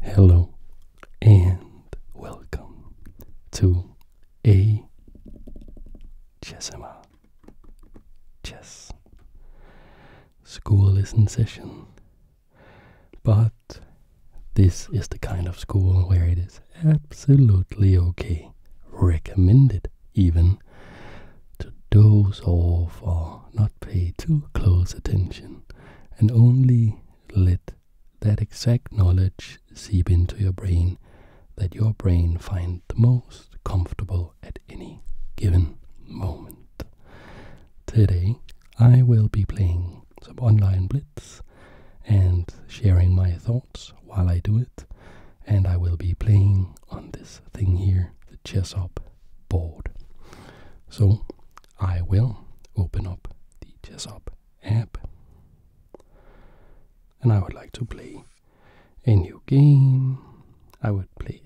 Hello and welcome to a Chessima Chess school listen session. But this is the kind of school where it is absolutely okay, recommended even, to doze off or not pay too close attention and only let that exact knowledge seep into your brain that your brain finds most comfortable at any given moment. Today, I will be playing some online blitz and sharing my thoughts while I do it, and I will be playing on this thing here, the chess up board. So I will open up the Jessup app and I would like to play a new game. I would play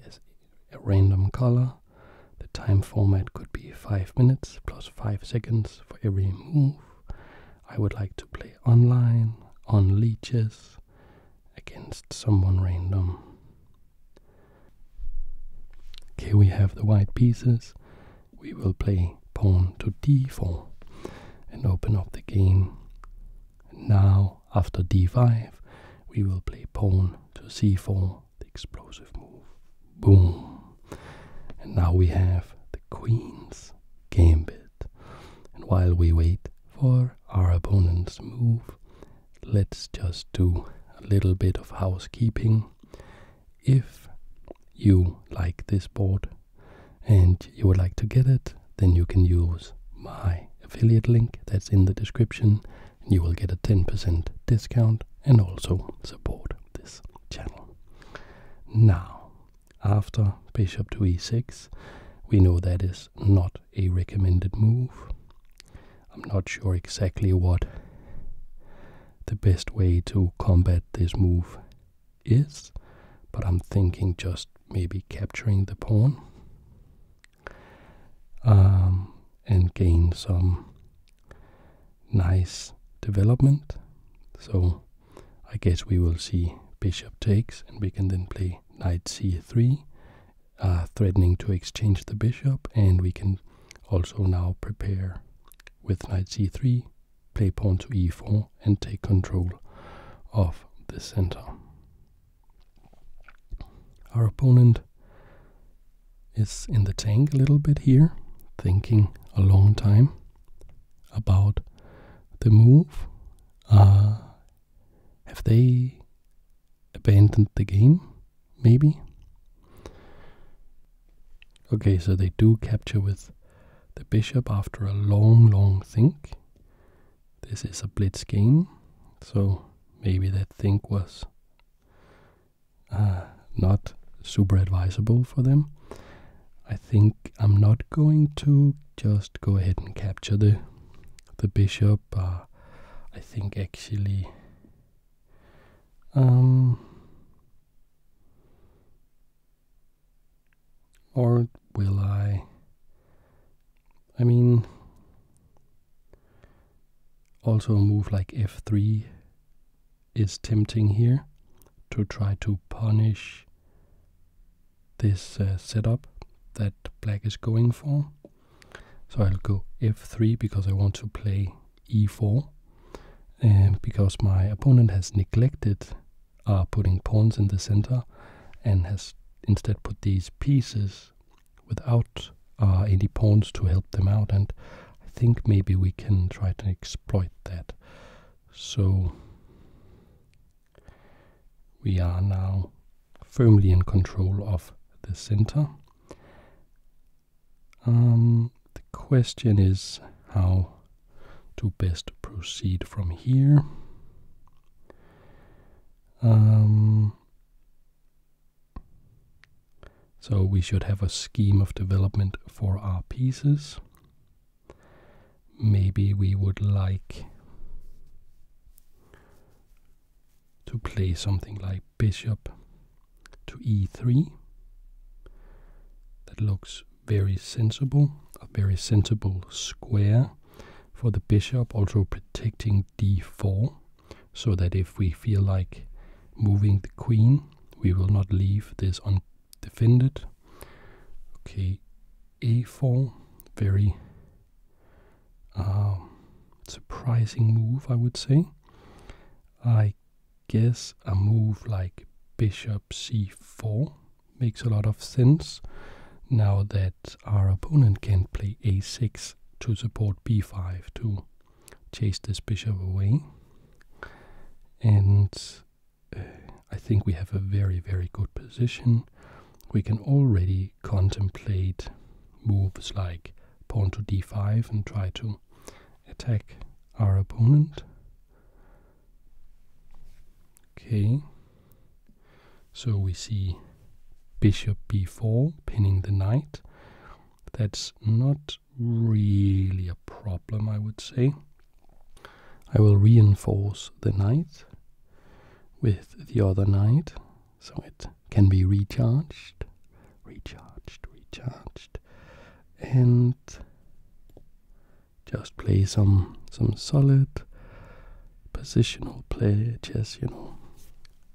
a random color. The time format could be 5 minutes plus 5 seconds for every move. I would like to play online, on leeches, against someone random. Here we have the white pieces. We will play pawn to d4 and open up the game. Now, after d5, we will play pawn to c4, the explosive move. Boom! And now we have the queen's gambit. And while we wait for our opponent's move, let's just do a little bit of housekeeping. If you like this board and you would like to get it, then you can use my affiliate link that's in the description. You will get a 10% discount and also support this channel. Now, after bishop to e6, we know that is not a recommended move. I'm not sure exactly what the best way to combat this move is, but I'm thinking just maybe capturing the pawn um, and gain some nice development. So I guess we will see bishop takes and we can then play knight c3, uh, threatening to exchange the bishop and we can also now prepare with knight c3, play pawn to e4 and take control of the center. Our opponent is in the tank a little bit here, thinking a long time about the move. Uh, have they abandoned the game? maybe? Okay, so they do capture with the bishop after a long, long think. This is a blitz game, so maybe that think was uh, not super advisable for them. I think I'm not going to just go ahead and capture the the bishop. Uh, I think actually um, or will I? I mean, also a move like f3 is tempting here to try to punish this uh, setup that black is going for. So I'll go f3 because I want to play e4 um, because my opponent has neglected uh, putting pawns in the center and has instead put these pieces without uh, any pawns to help them out and I think maybe we can try to exploit that. So we are now firmly in control of the center um, the question is how to best proceed from here. Um, so we should have a scheme of development for our pieces. Maybe we would like to play something like bishop to e3. That looks very sensible, a very sensible square for the bishop, also protecting d4, so that if we feel like moving the queen, we will not leave this undefended. Okay, a4, very um, surprising move, I would say. I guess a move like bishop c4 makes a lot of sense now that our opponent can play a6 to support b5 to chase this bishop away. And uh, I think we have a very, very good position. We can already contemplate moves like pawn to d5 and try to attack our opponent. Okay, so we see bishop b4 pinning the knight. That's not really a problem, I would say. I will reinforce the knight with the other knight so it can be recharged, recharged, recharged and just play some some solid positional play chess, you know.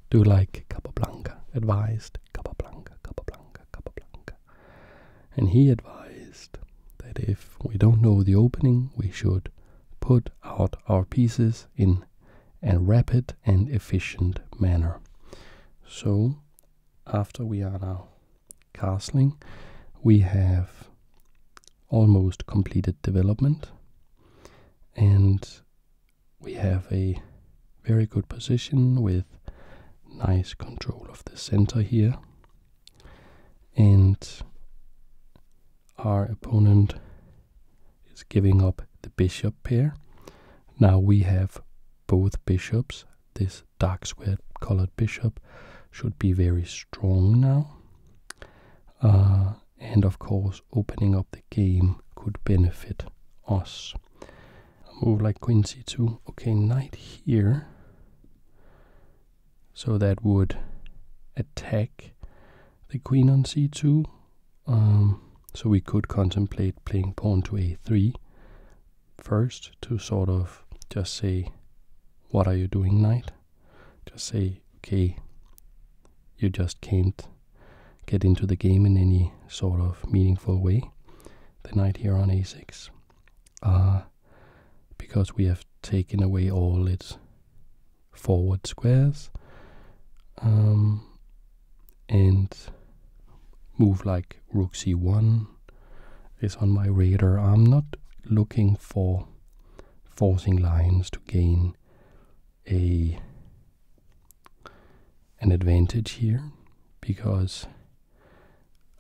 Do like Capablanca advised, Capablanca, Capablanca, Capablanca. And he advised that if we don't know the opening, we should put out our pieces in a rapid and efficient manner. So after we are now castling, we have almost completed development and we have a very good position with nice control of the center here and our opponent is giving up the bishop here. now we have both bishops this dark square colored bishop should be very strong now. Uh, and of course, opening up the game could benefit us. move like queen c2. Okay, knight here. So that would attack the queen on c2. Um, so we could contemplate playing pawn to a3 first to sort of just say, What are you doing, Knight? Just say, Okay, you just can't get into the game in any sort of meaningful way. The knight here on a6. Uh, because we have taken away all its forward squares. Um, and move like rook c1 is on my radar. I'm not looking for forcing lines to gain a an advantage here because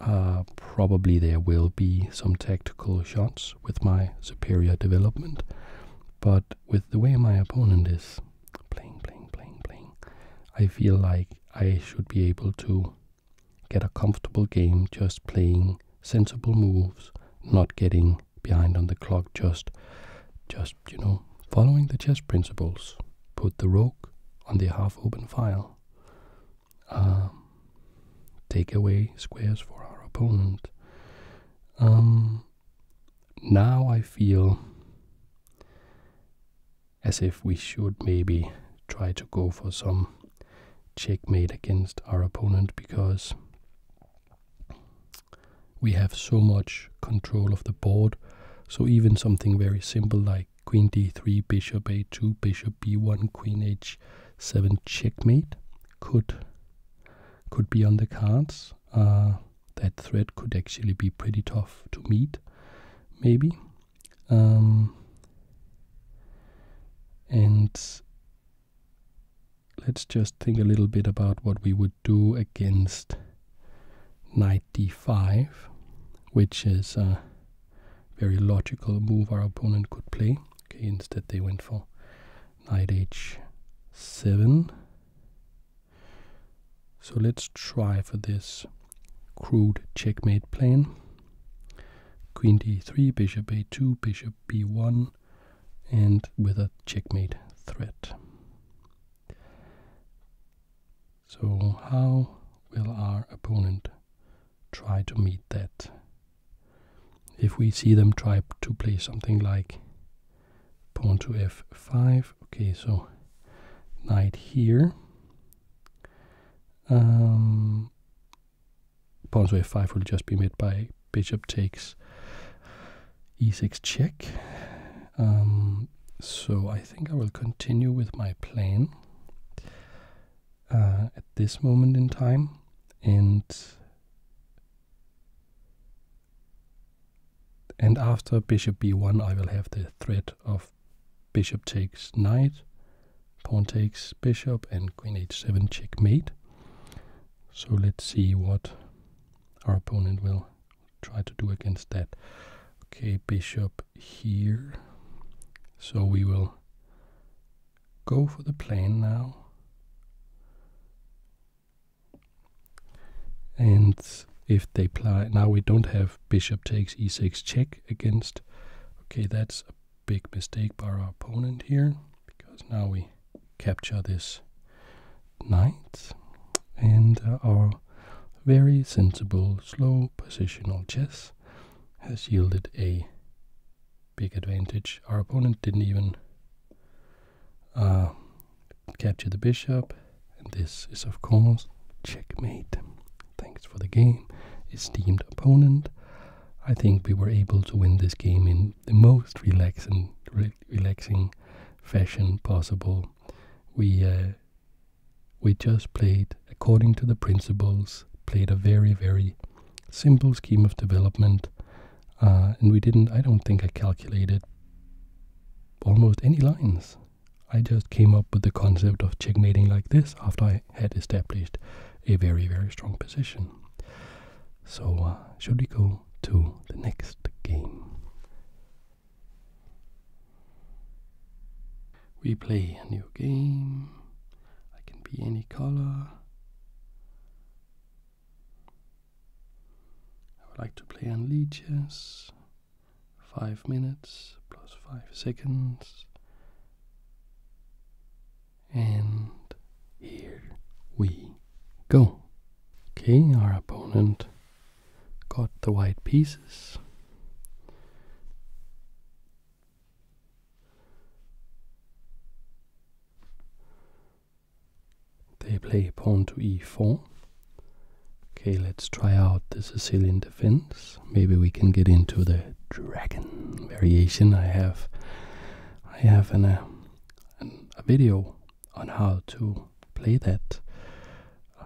uh, probably there will be some tactical shots with my superior development but with the way my opponent is playing playing playing playing I feel like I should be able to get a comfortable game just playing sensible moves, not getting behind on the clock, just, just you know, following the chess principles. Put the rook on the half-open file. Um, take away squares for our opponent. Um, now I feel as if we should maybe try to go for some checkmate against our opponent because we have so much control of the board. So even something very simple like queen d3, bishop a2, bishop b1, queen h7 checkmate could could be on the cards. Uh, that threat could actually be pretty tough to meet, maybe. Um, and let's just think a little bit about what we would do against knight d5, which is a very logical move our opponent could play. Okay, instead they went for knight h7. So let's try for this crude checkmate plan. Queen d3, bishop a2, bishop b1, and with a checkmate threat. So how will our opponent try to meet that? If we see them try to play something like pawn to f5, okay, so knight here, um, pawn to f5 will just be met by bishop takes e6 check. Um, so I think I will continue with my plan uh, at this moment in time and and after bishop b1 I will have the threat of bishop takes knight, pawn takes bishop, and queen h7 checkmate. So let's see what our opponent will try to do against that. Okay, bishop here. So we will go for the plane now. And if they play, now we don't have bishop takes e6 check against. Okay, that's a big mistake by our opponent here, because now we capture this knight, and uh, our very sensible, slow positional chess has yielded a big advantage. Our opponent didn't even uh, capture the bishop, and this is, of course, checkmate. Thanks for the game, esteemed opponent. I think we were able to win this game in the most relaxing, relaxing fashion possible. We uh, we just played according to the principles, played a very very simple scheme of development, uh, and we didn't. I don't think I calculated almost any lines. I just came up with the concept of checkmating like this after I had established a very, very strong position. So, uh, should we go to the next game? We play a new game. I can be any color. I would like to play on leeches. 5 minutes plus 5 seconds. And here we go. Okay, our opponent got the white pieces. They play pawn to e4. Okay, let's try out the Sicilian defense maybe we can get into the dragon variation. I have, I have uh, a video on how to play that. Uh,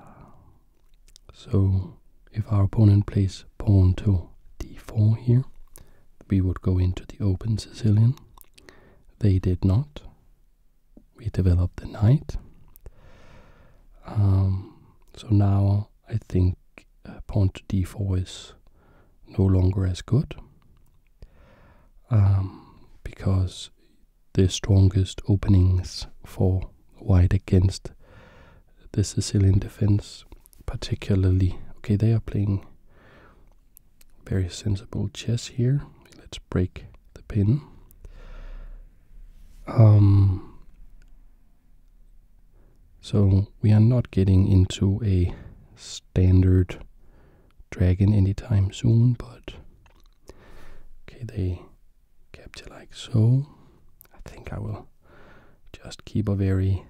so if our opponent plays pawn to d4 here, we would go into the open Sicilian. They did not. We developed the knight. Um, so now I think uh, pawn d4 is no longer as good um, because the strongest openings for white against the Sicilian defense, particularly. Okay, they are playing very sensible chess here. Let's break the pin. Um, so we are not getting into a standard dragon anytime soon, but okay, they capture like so. I think I will just keep a very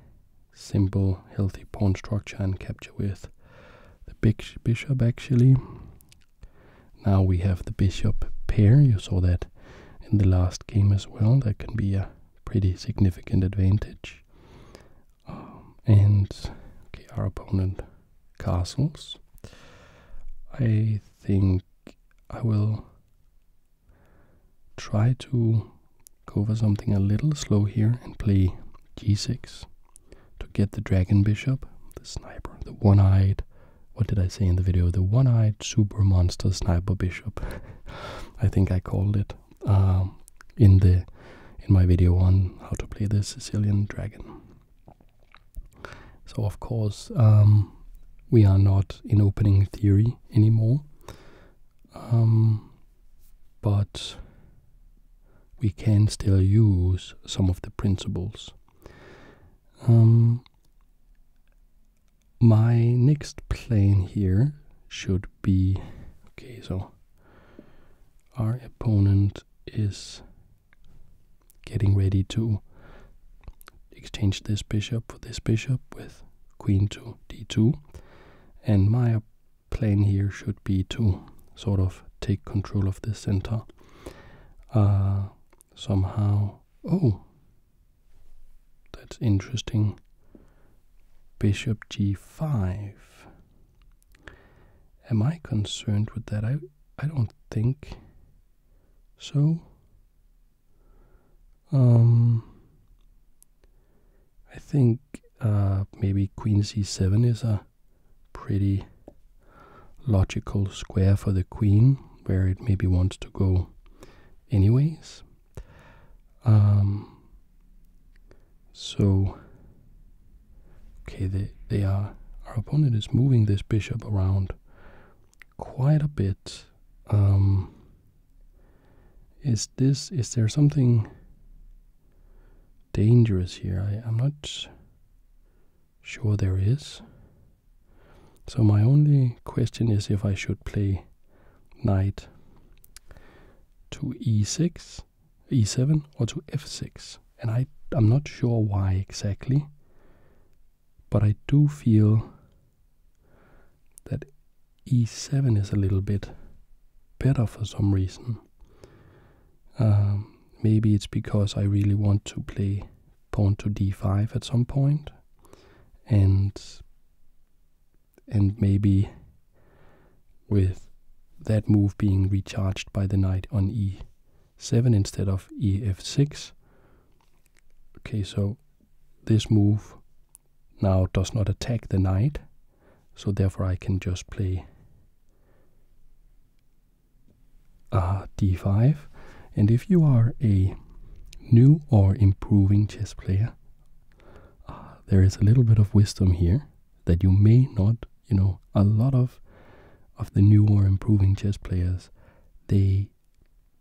simple, healthy pawn structure and capture with the big bishop actually. Now we have the bishop pair. You saw that in the last game as well. That can be a pretty significant advantage. Um, and okay, our opponent castles. I think I will try to go for something a little slow here and play g6 to get the dragon bishop, the sniper, the one-eyed, what did I say in the video, the one-eyed super monster sniper bishop. I think I called it um, in the in my video on how to play the Sicilian Dragon. So of course um, we are not in opening theory anymore, um, but we can still use some of the principles my next plan here should be okay, so our opponent is getting ready to exchange this bishop for this bishop with queen to d2, and my plan here should be to sort of take control of the center. Uh, somehow, oh, that's interesting. Bishop g5. Am I concerned with that? I I don't think so. Um I think uh, maybe queen c7 is a pretty logical square for the queen where it maybe wants to go anyways. Um, so, okay, they, they are, our opponent is moving this bishop around quite a bit. Um, is this, is there something dangerous here? I'm not sure there is. So my only question is if I should play knight to e6, e7, or to f6. And I, am not sure why exactly, but I do feel that e7 is a little bit better for some reason. Um, maybe it's because I really want to play pawn to d5 at some point, and and maybe with that move being recharged by the knight on e7 instead of ef6. Okay, so this move now does not attack the knight, so therefore I can just play uh, 5 And if you are a new or improving chess player, uh, there is a little bit of wisdom here that you may not, you know, a lot of of the new or improving chess players, they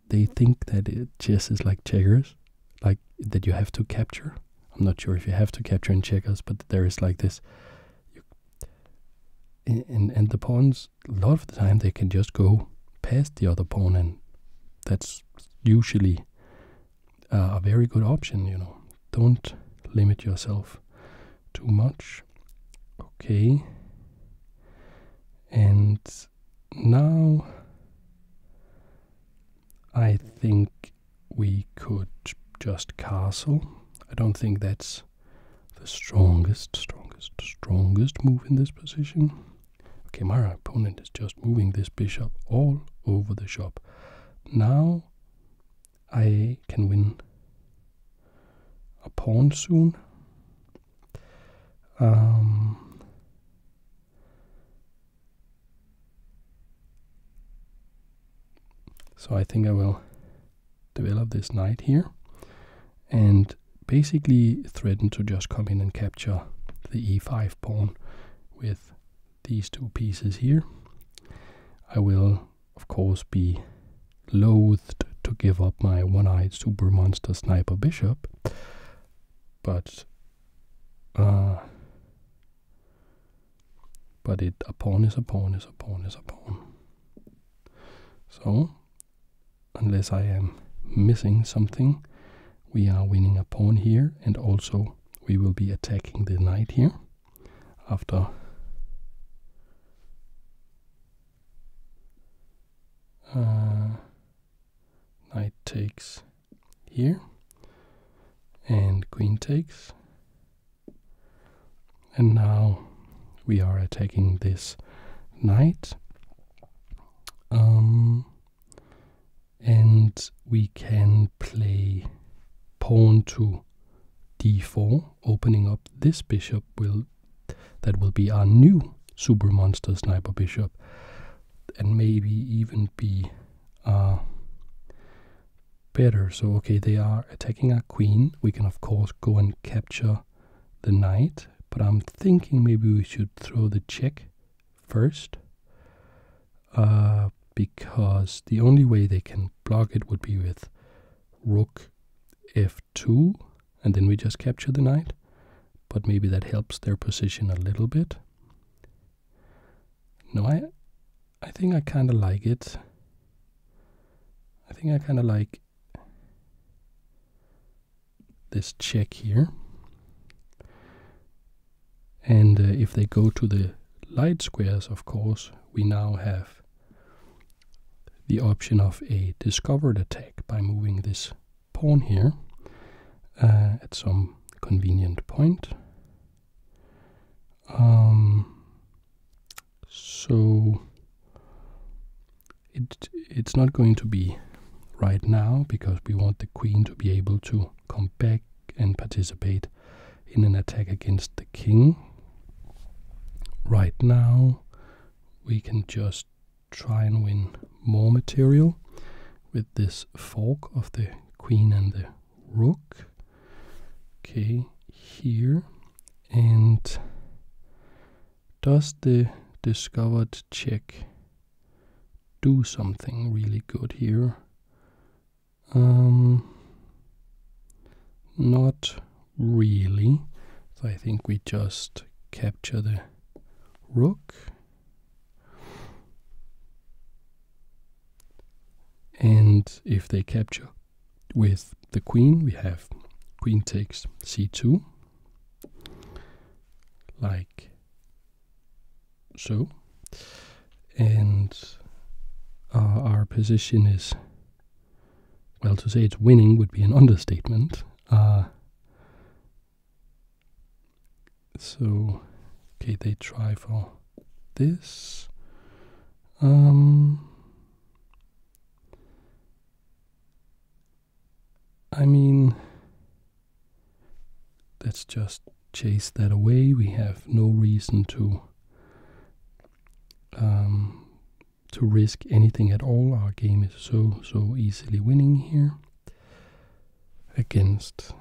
they think that chess is like checkers, like that you have to capture. I'm not sure if you have to capture in checkers, but there is like this. and and the pawns, a lot of the time, they can just go past the other pawn and that's usually a very good option, you know. Don't limit yourself too much. Okay. And now I think we could just castle. I don't think that's the strongest, strongest, strongest move in this position. Okay, my opponent is just moving this bishop all over the shop. Now I can win a pawn soon. Um, so I think I will develop this knight here and basically threaten to just come in and capture capture the e5 pawn with these two pieces here. I will, of course, be loathed to give up my one-eyed super monster sniper bishop, but uh, but it a pawn is a pawn is a pawn is a pawn. So, unless I am missing something, we are winning a pawn here and also we will be attacking the knight here after uh, knight takes here and queen takes and now we are attacking this knight um, and we can play pawn to d4, opening up this bishop will that will be our new super monster sniper bishop, and maybe even be uh, better. So okay, they are attacking our queen. We can of course go and capture the knight, but I'm thinking maybe we should throw the check first uh, because the only way they can block it would be with rook f2 and then we just capture the knight but maybe that helps their position a little bit no i i think i kind of like it i think i kind of like this check here. And uh, if they go to the light squares, of course, we now have the option of a discovered attack by moving this pawn here uh, at some convenient point. Um, so it it's not going to be right now because we want the queen to be able to come back and participate in an attack against the king. Right now, we can just try and win more material with this fork of the queen and the rook. Okay, here. And does the discovered check do something really good here. Um, not really. I think we just capture the rook. And if they capture with the queen, we have queen takes c2, like so and our position is well to say it's winning would be an understatement uh, so okay they try for this um, I mean Let's just chase that away. We have no reason to um, to risk anything at all. Our game is so so easily winning here against.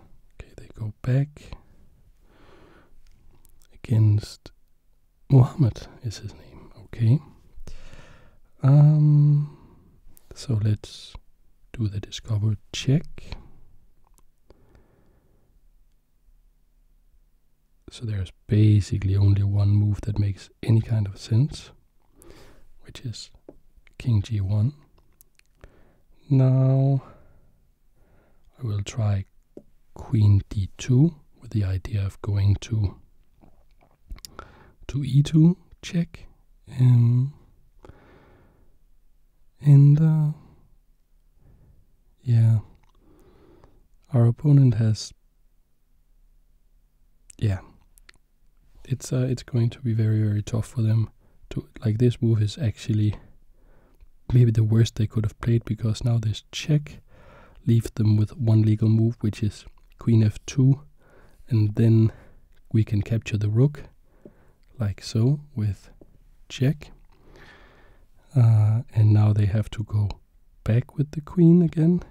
Okay, they go back against Muhammad is his name. Okay. Um, so let's do the discover check. So there's basically only one move that makes any kind of sense, which is king g1. Now I will try queen d2 with the idea of going to to e2 check. Um, and uh, yeah, our opponent has. Yeah, it's uh, it's going to be very very tough for them. To like this move is actually maybe the worst they could have played because now this check leaves them with one legal move, which is queen f2, and then we can capture the rook like so with check. Uh, and now they have to go back with the queen again.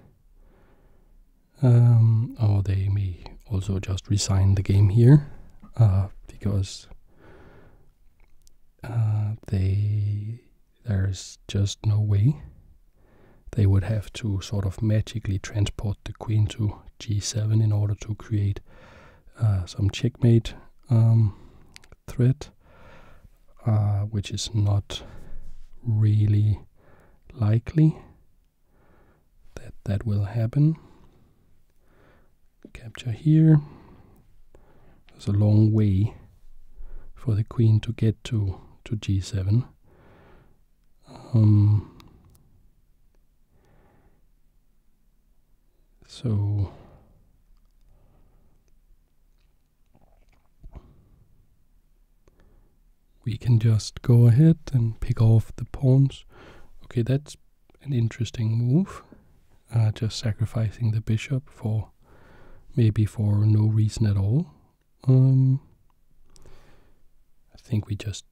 Um, or oh, they may also just resign the game here uh, because uh, there's just no way they would have to sort of magically transport the queen to g7 in order to create uh, some checkmate um, threat, uh, which is not really likely that that will happen. Capture here. There's a long way for the queen to get to, to g7. So we can just go ahead and pick off the pawns. Okay, that's an interesting move. Uh, just sacrificing the bishop for maybe for no reason at all. Um, I think we just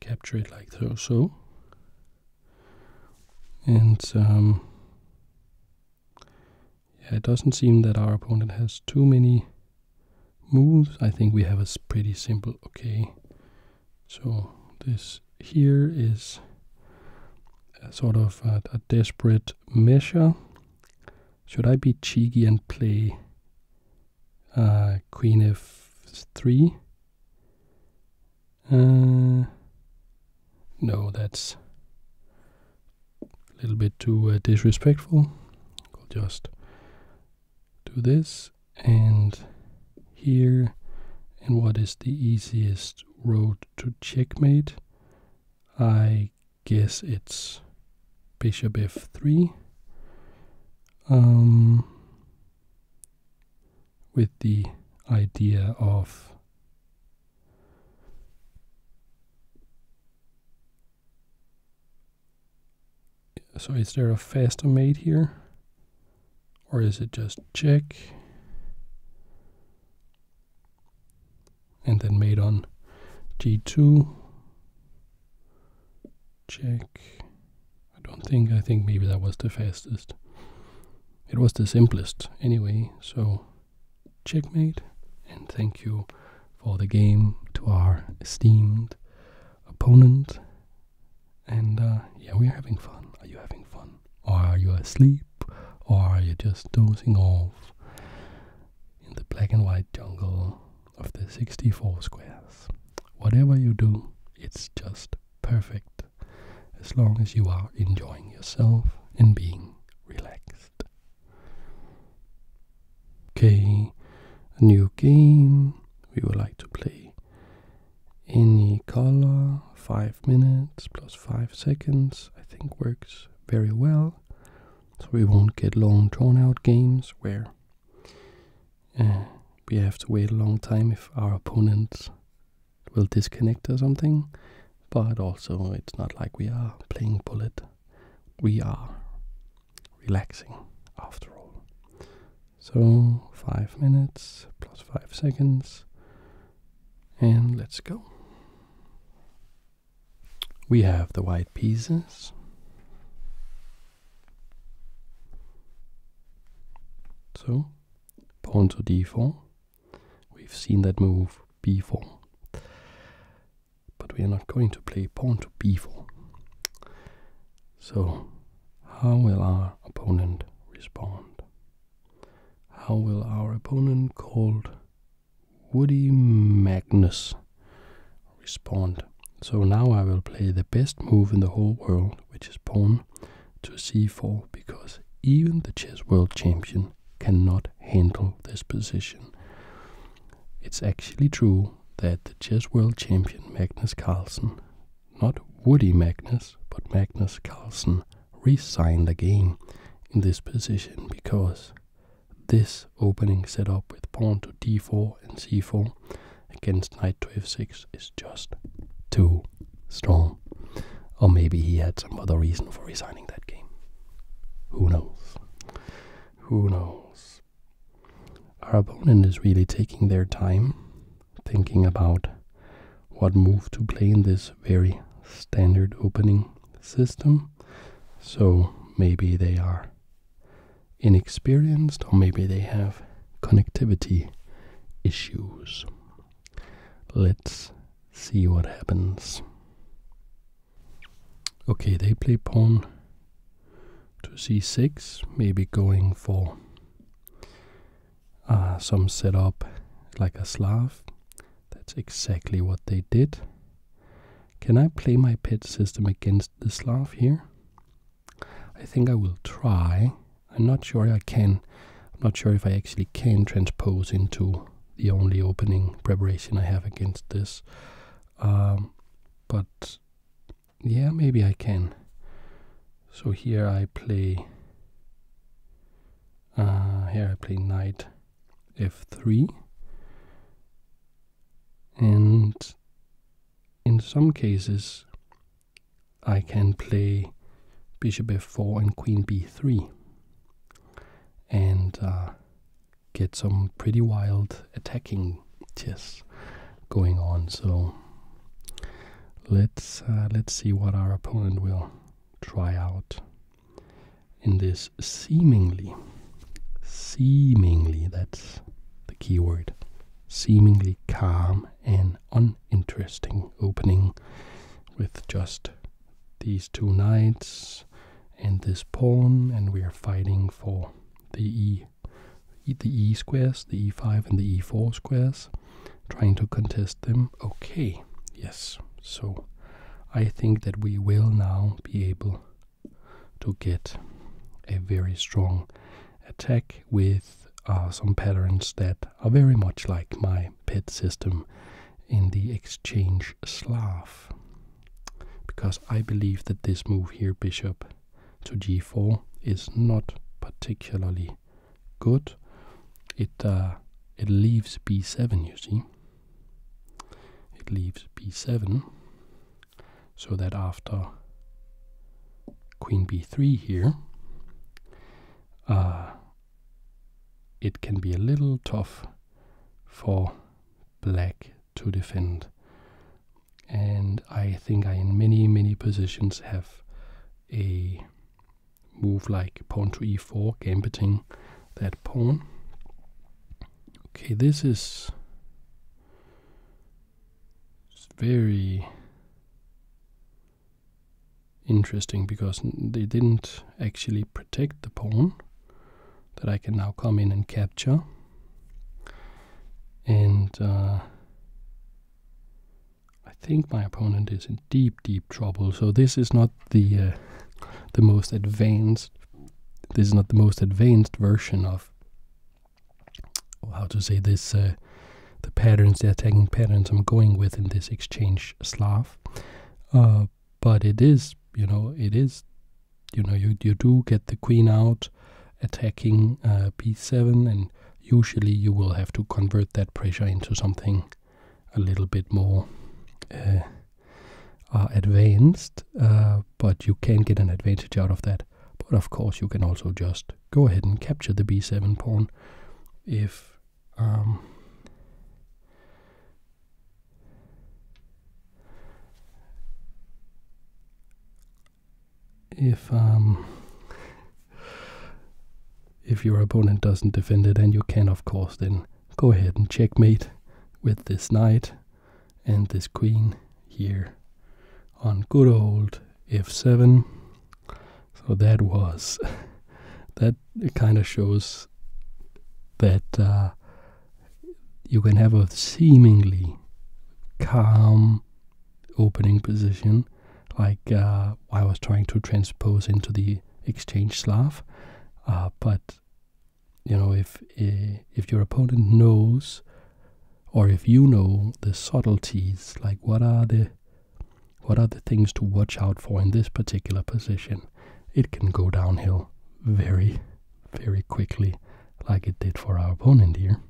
capture it like so and um, yeah, it doesn't seem that our opponent has too many moves I think we have a pretty simple okay so this here is a sort of a, desperate measure should I be cheeky and play uh, queen f3 uh, no, that's a little bit too uh, disrespectful. We'll just do this and here. And what is the easiest road to checkmate? I guess it's bishop f3 with the idea of so is there a faster mate here or is it just check and then mate on g2 check I don't think, I think maybe that was the fastest. It was the simplest anyway, so checkmate and thank you for the game to our esteemed opponent. And uh, yeah, we're having fun. Are you having fun? Or are you asleep? Or are you just dozing off in the black and white jungle of the 64 squares? Whatever you do, it's just perfect as long as you are enjoying yourself and being relaxed. Okay, a new game we would like to play. Any color, 5 minutes plus 5 seconds, I think works very well. So we won't get long drawn out games where uh, we have to wait a long time if our opponent will disconnect or something, but also it's not like we are playing bullet. We are relaxing after all. So, five minutes plus five seconds, and let's go. We have the white pieces. So pawn to d4. We've seen that move before, But we are not going to play pawn to b4. So, how will our opponent respond? How will our opponent called Woody Magnus respond? So now I will play the best move in the whole world, which is pawn to c4 because even the chess world champion cannot handle this position. It's actually true that the chess world champion Magnus Carlsen, not Woody Magnus, but Magnus Carlsen, resigned again in this position because this opening set up with pawn to d4 and c4 against knight to f6 is just too strong. Or maybe he had some other reason for resigning that game. Who knows? Who knows? Our opponent is really taking their time thinking about what move to play in this very standard opening system. So maybe they are inexperienced or maybe they have connectivity issues. Let's see what happens. Okay, they play pawn to c6, maybe going for uh, some setup like a Slav. That's exactly what they did. Can I play my pet system against the Slav here? I think I will try. I'm not sure I can. I'm not sure if I actually can transpose into the only opening preparation I have against this. Um, but yeah, maybe I can. So here I play. Uh, here I play knight f3. And in some cases, I can play bishop f4 and queen b3 and uh, get some pretty wild attacking chess going on. So let's uh, let's see what our opponent will try out in this seemingly seemingly that's the key word seemingly calm and uninteresting opening with just these two knights and this pawn, and we are fighting for the e, the e squares, the e5 and the e4 squares, trying to contest them. Okay, yes. So I think that we will now be able to get a very strong attack with uh, some patterns that are very much like my PET system in the exchange Slav. Because I believe that this move here, bishop to g4, is not particularly good. It, uh, it leaves b7, you see. It leaves b7, so that after queen b3 here, uh, it can be a little tough for black to defend. And I think I, in many, many positions, have a move like pawn to e4, gambiting that pawn. Okay, this is very interesting because they didn't actually protect the pawn that I can now come in and capture. And uh, I think my opponent is in deep, deep trouble. So this is not the uh, the most advanced. This is not the most advanced version of how to say this uh, the patterns, the attacking patterns I'm going with in this exchange Slav. Uh, but it is, you know, it is, you know, you, you do get the queen out attacking uh, p 7 and usually you will have to convert that pressure into something a little bit more uh, advanced, but you can get an advantage out of that. But of course, you can also just go ahead and capture the b7 pawn if um, if um, if your opponent doesn't defend it, and you can, of course, then go ahead and checkmate with this knight and this queen here on good old f7 so that was that kind of shows that uh, you can have a seemingly calm opening position, like uh, I was trying to transpose into the exchange Slav, uh, but you know if if your opponent knows, or if you know the subtleties, like what are the what are the things to watch out for in this particular position? It can go downhill very, very quickly, like it did for our opponent here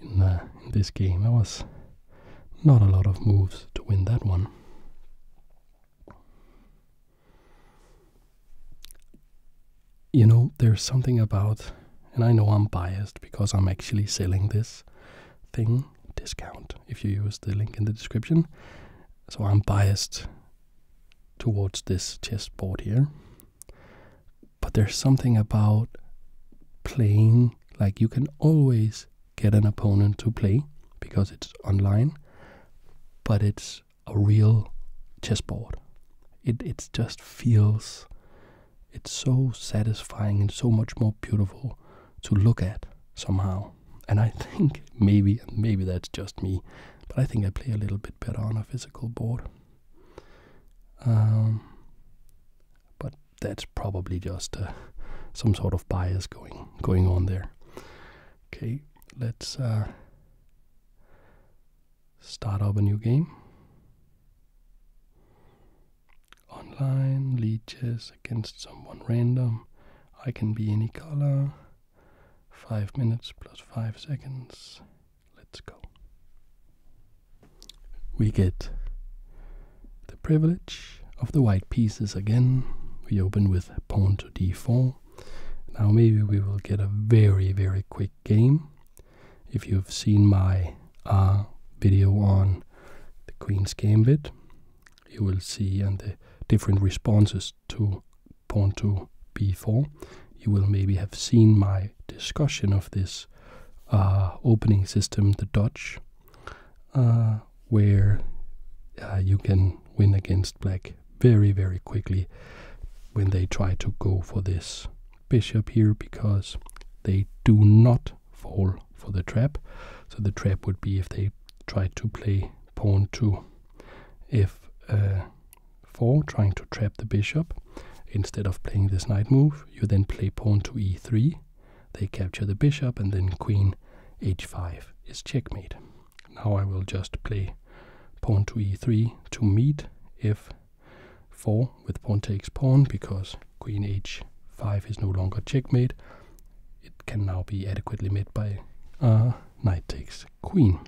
in, this game. There was not a lot of moves to win that one. You know, there's something about, and I know I'm biased because I'm actually selling this thing discount if you use the link in the description. So I'm biased towards this chessboard here. But there's something about playing, like you can always get an opponent to play because it's online, but it's a real chessboard. It it just feels it's so satisfying and so much more beautiful to look at somehow. And I think maybe, maybe that's just me, but I think I play a little bit better on a physical board. Um, but that's probably just uh, some sort of bias going going on there. Okay, let's uh, start up a new game online, leeches against someone random. I can be any color. 5 minutes plus 5 seconds. Let's go. We get the privilege of the white pieces again. We open with pawn to d4. Now maybe we will get a very, very quick game. If you've seen my uh, video on the Queen's Gambit, you will see and the different responses to pawn to b4. You will maybe have seen my discussion of this uh, opening system, the Dutch, uh, where uh, you can win against black very, very quickly when they try to go for this bishop here because they do not fall for the trap. So the trap would be if they try to play pawn to f4, uh, trying to trap the bishop. Instead of playing this knight move, you then play pawn to e3. They capture the bishop and then queen h5 is checkmate. Now I will just play pawn to e3 to meet f4 with pawn takes pawn because queen h5 is no longer checkmate it can now be adequately met by knight takes queen.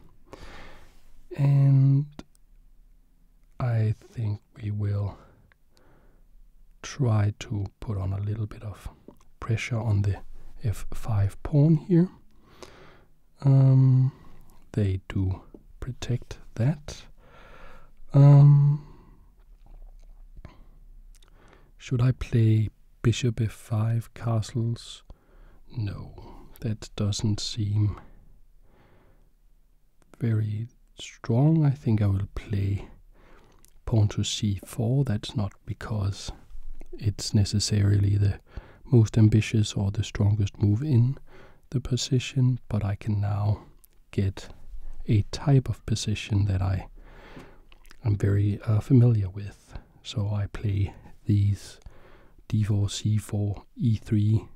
And I think we will try to put on a little bit of pressure on the f5 pawn here. Um, they do protect that. Um, should I play bishop f5 castles? No, that doesn't seem very strong. I think I will play pawn to c4. That's not because it's necessarily the most ambitious or the strongest move in the position, but I can now get a type of position that I I'm very uh, familiar with. So I play these d4, c4, e3,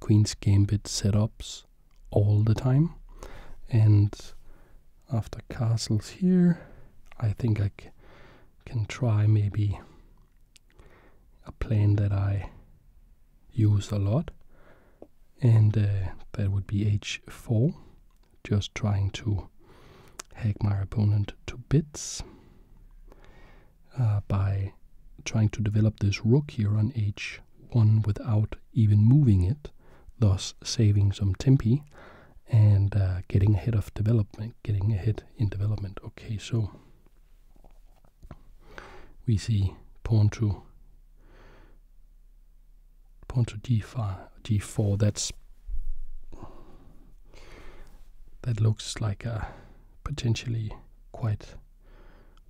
queen's gambit setups all the time. And after castles here, I think I can try maybe a plan that I use a lot. And uh, that would be h4 just trying to hack my opponent to bits uh, by trying to develop this rook here on h1 without even moving it, thus saving some tempi and uh, getting ahead of development, getting ahead in development. Okay, so we see pawn to Pawn to d5, d 4 that's... That looks like a potentially quite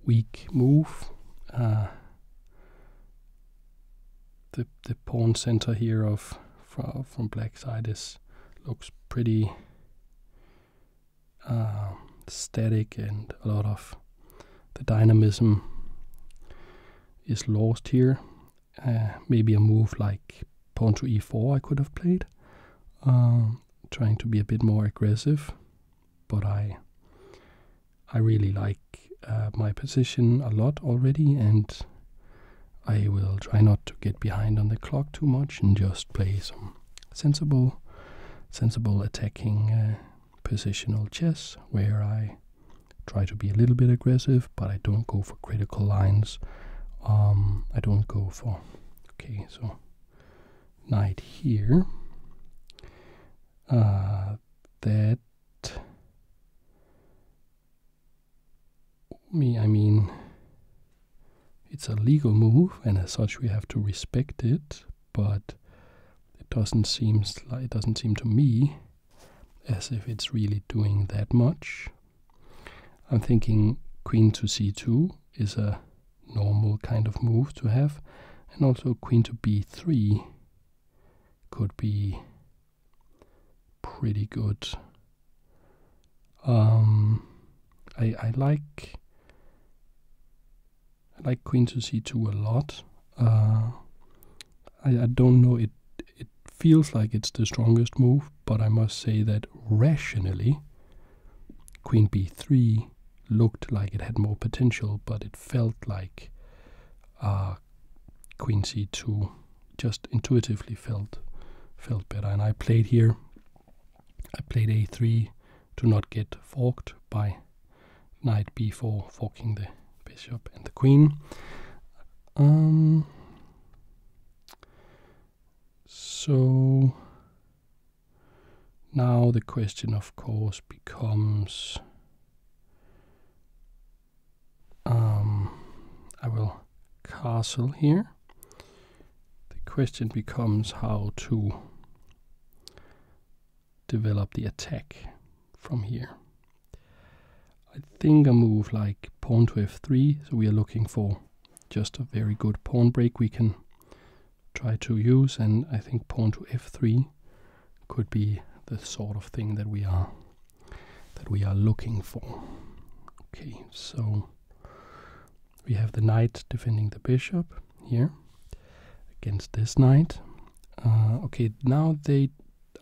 weak move. Uh, the the pawn center here of from, from black side is looks pretty um, static and a lot of the dynamism is lost here uh, maybe a move like pawn to e4 I could have played, um, trying to be a bit more aggressive. But I, I really like uh, my position a lot already, and I will try not to get behind on the clock too much and just play some sensible, sensible attacking uh, positional chess where I try to be a little bit aggressive, but I don't go for critical lines. Um, I don't go for. Okay, so knight here. Uh, that. Me, I mean, it's a legal move, and as such, we have to respect it. But it doesn't seem it doesn't seem to me as if it's really doing that much. I'm thinking queen to c2 is a normal kind of move to have, and also queen to b3 could be pretty good. Um, I, I like I like queen to c2 a lot. Uh, I, don't know. It it feels like it's the strongest move, but I must say that rationally, Queen b3 looked like it had more potential, but it felt like uh, Queen c2 just intuitively felt felt better. And I played here. I played a3 to not get forked by knight b4, forking the bishop and the queen. Um, so now the question, of course, becomes. Um, I will castle here. The question becomes how to develop the attack from here. I think I move like pawn to f3, so we are looking for just a very good pawn break we can try to use, and I think pawn to f3 could be the sort of thing that we are that we are looking for. Okay, so we have the knight defending the bishop here against this knight. Uh, okay, now they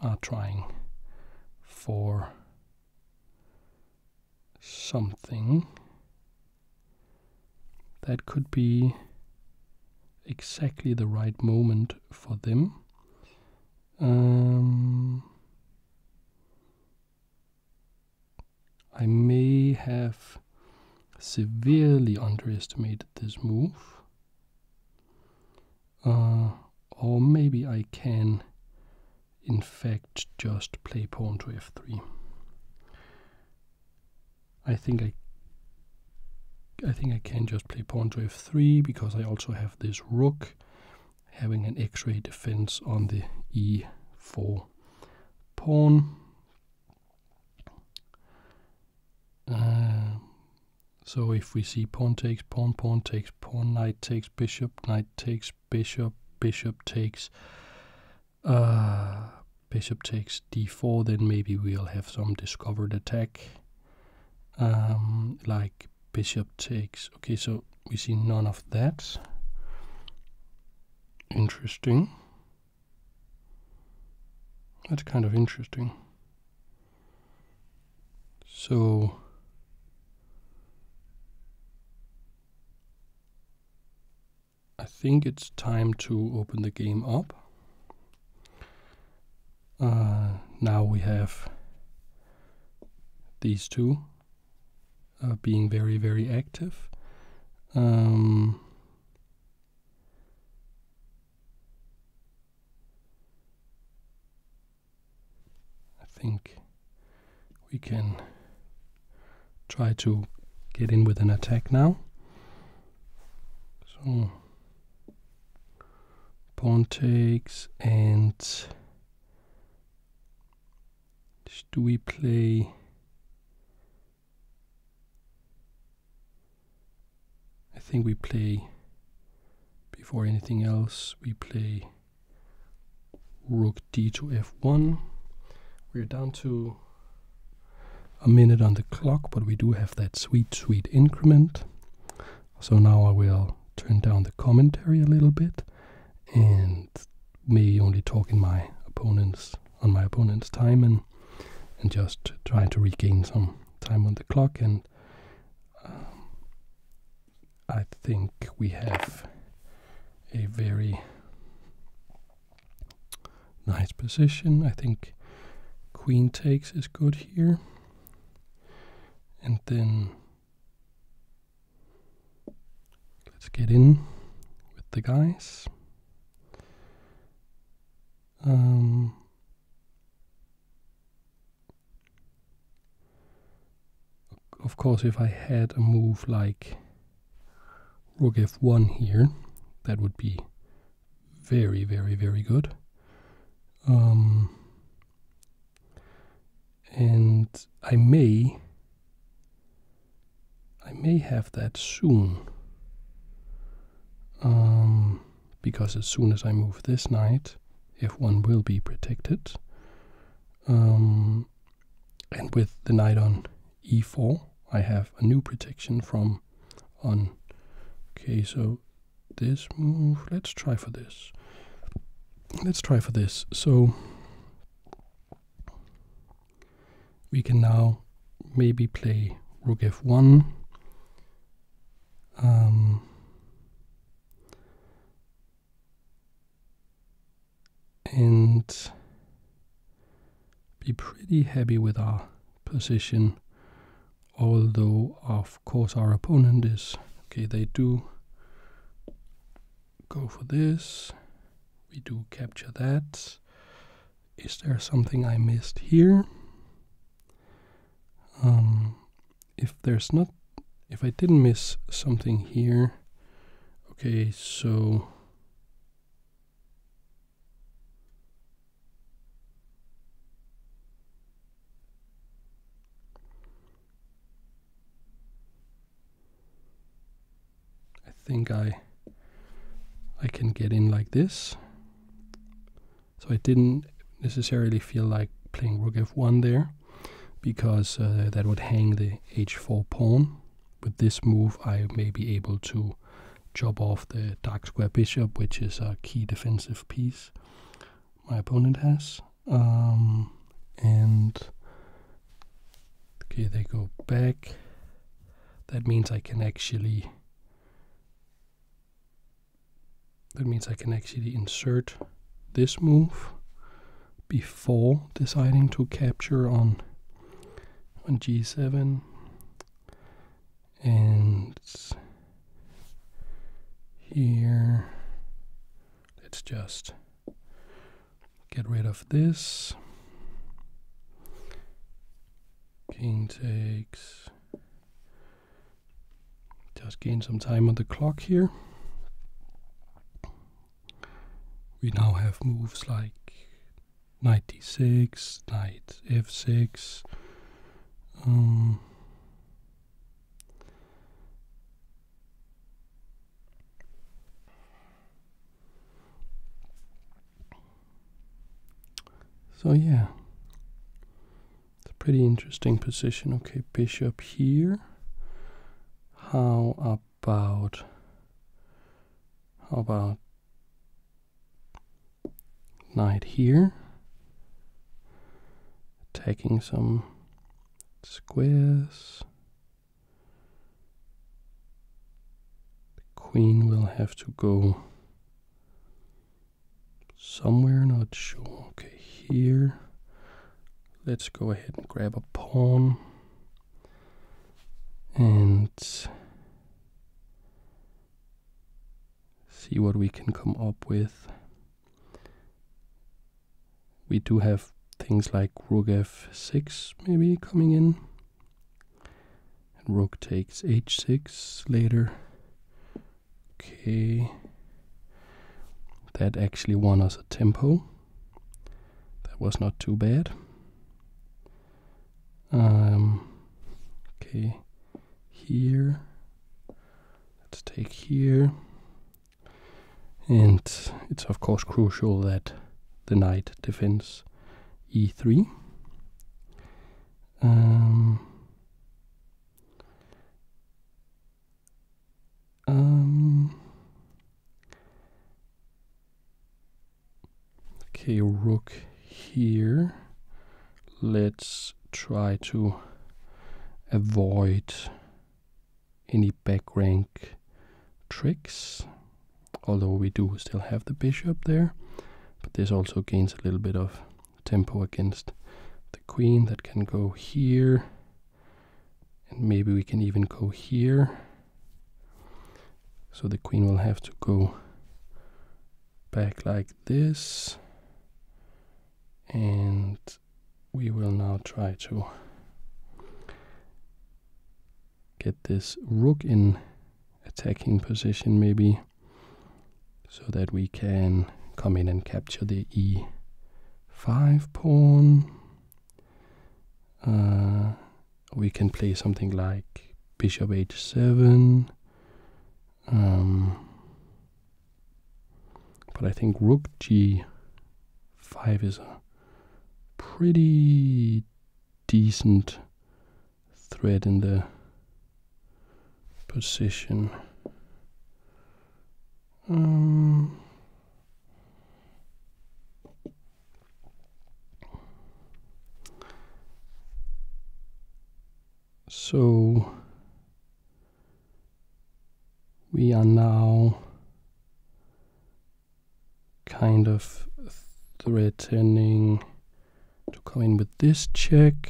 are trying for something that could be exactly the right moment for them. Um, I may have severely underestimated this move. Uh, or maybe I can, in fact, just play pawn to f3. I think I I think I can just play pawn to f3 because I also have this rook having an x-ray defense on the e4 pawn. Uh, so if we see pawn takes pawn, pawn takes pawn, knight takes bishop, knight takes bishop, bishop takes uh, bishop takes d4, then maybe we'll have some discovered attack. Um, like bishop takes. Okay, so we see none of that. Interesting. That's kind of interesting. So I think it's time to open the game up. Uh, now we have these two uh, being very, very active. Um, I think we can try to get in with an attack now. So pawn takes and do we play I think we play before anything else we play rook d to f1. We're down to a minute on the clock, but we do have that sweet, sweet increment. So now I will turn down the commentary a little bit and may only talk in my opponent's on my opponent's time and and just try to regain some time on the clock and uh, I think we have a very nice position. I think queen takes is good here. And then let's get in with the guys. Um, of course, if I had a move like rook f1 here, that would be very, very, very good. Um, and I may, I may have that soon. Um, because as soon as I move this knight, if one will be protected. Um, and with the knight on e4, I have a new protection from on. Okay, so this move, let's try for this. Let's try for this. So we can now maybe play rook f1 and be pretty happy with our position although of course our opponent is okay they do go for this we do capture that is there something I missed here um, if there's not if I didn't miss something here okay so I think I I can get in like this so I didn't necessarily feel like playing rook f1 there because uh, that would hang the h4 pawn. With this move, I may be able to chop off the dark square bishop, which is a key defensive piece my opponent has. Um, and okay, they go back. That means I can actually that means I can actually insert this move before deciding to capture on on g7 and here let's just get rid of this king takes just gain some time on the clock here. We now have moves like knight d6, knight f6. Um, so yeah, it's a pretty interesting position. Okay, bishop here. How about how about knight here? Taking some squares. queen will have to go somewhere, not sure. Okay, here. Let's go ahead and grab a pawn. And see what we can come up with. We do have things like rook f6 maybe coming in. And rook takes h6 later. Okay. That actually won us a tempo. That was not too bad. Um, okay, here. Let's take here. And it's of course crucial that the knight defends e3. Um, okay, rook here. Let's try to avoid any back rank tricks, although we do still have the bishop there. But this also gains a little bit of tempo against the queen that can go here and maybe we can even go here so the queen will have to go back like this and we will now try to get this rook in attacking position maybe so that we can come in and capture the e5 pawn uh, we can play something like bishop h7. Um, but I think rook g5 is a pretty decent thread in the position. Um, so we are now kind of threatening to come in with this check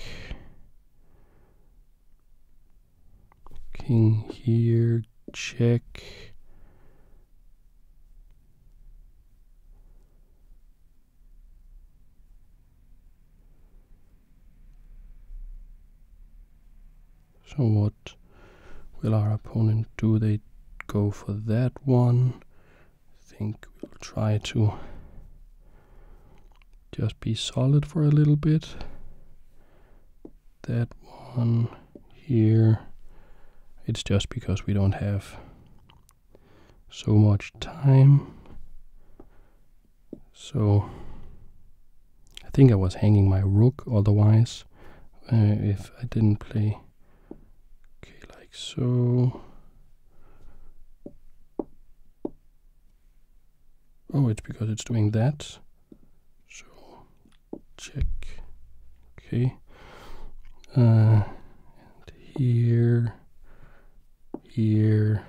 King here, check. So what will our opponent do? They go for that one. I think we'll try to just be solid for a little bit that one here. It's just because we don't have so much time. So I think I was hanging my rook otherwise uh, if I didn't play okay like so. Oh, it's because it's doing that. So check. Okay. Uh, here, here.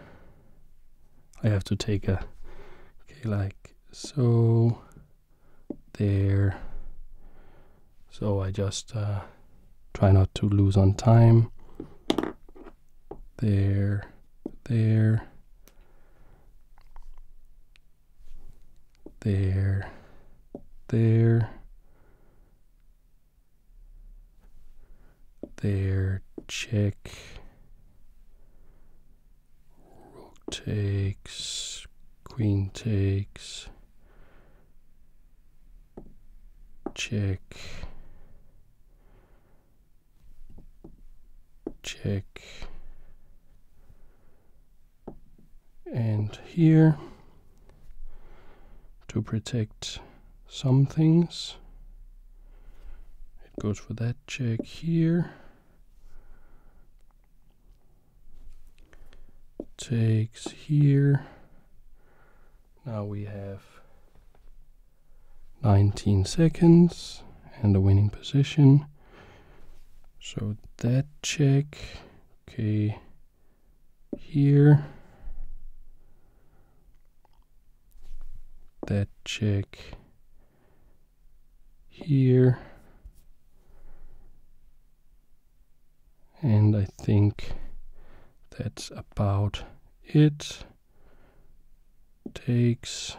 I have to take a, okay, like so, there. So I just uh, try not to lose on time. There, there there, there, there, check, rook takes, queen takes, check, check, and here to protect some things. It goes for that check here. Takes here. Now we have 19 seconds and a winning position. So that check, okay, here, that check here, and I think that's about it. Takes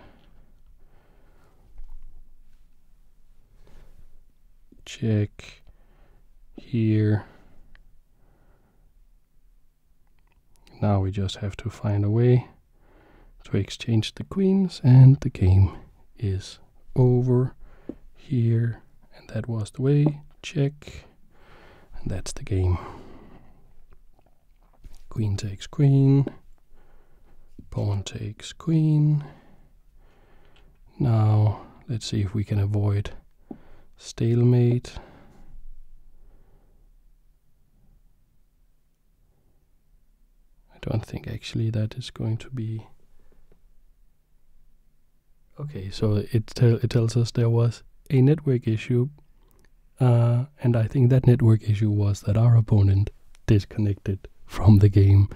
check here. Now we just have to find a way to exchange the queens and the game is over here. And that was the way, check, and that's the game. Queen takes queen, Pawn takes queen. Now, let's see if we can avoid stalemate. I don't think actually that is going to be... Okay, so it, tells us there was a network issue, uh, and I think that network issue was that our opponent disconnected from the game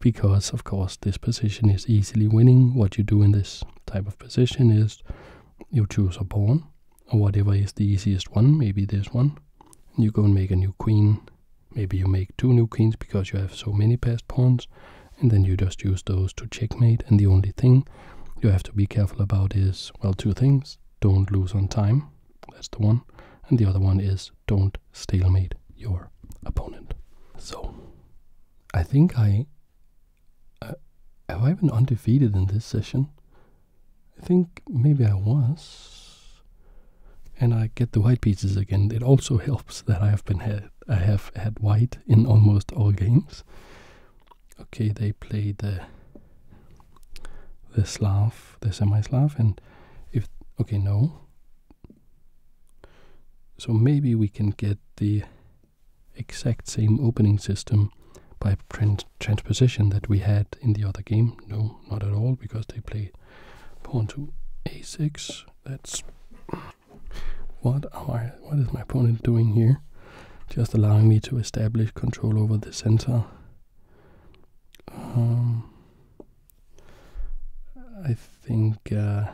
because, of course, this position is easily winning. What you do in this type of position is you choose a pawn or whatever is the easiest one, maybe this one. you go and make a new queen. Maybe you make two new queens because you have so many passed pawns. And then you just use those to checkmate. And the only thing you have to be careful about is, well, two things. Don't lose on time. That's the one. And the other one is don't stalemate your opponent. So, I think I. Uh, have I been undefeated in this session? I think maybe I was. And I get the white pieces again. It also helps that I have been had I have had white in almost all games. Okay, they play the the Slav, the semi-Slav, and if okay, no, so maybe we can get the exact same opening system by transposition that we had in the other game. No, not at all, because they play pawn to a6. That's what what is my opponent doing here? Just allowing me to establish control over the center. Um, I think uh,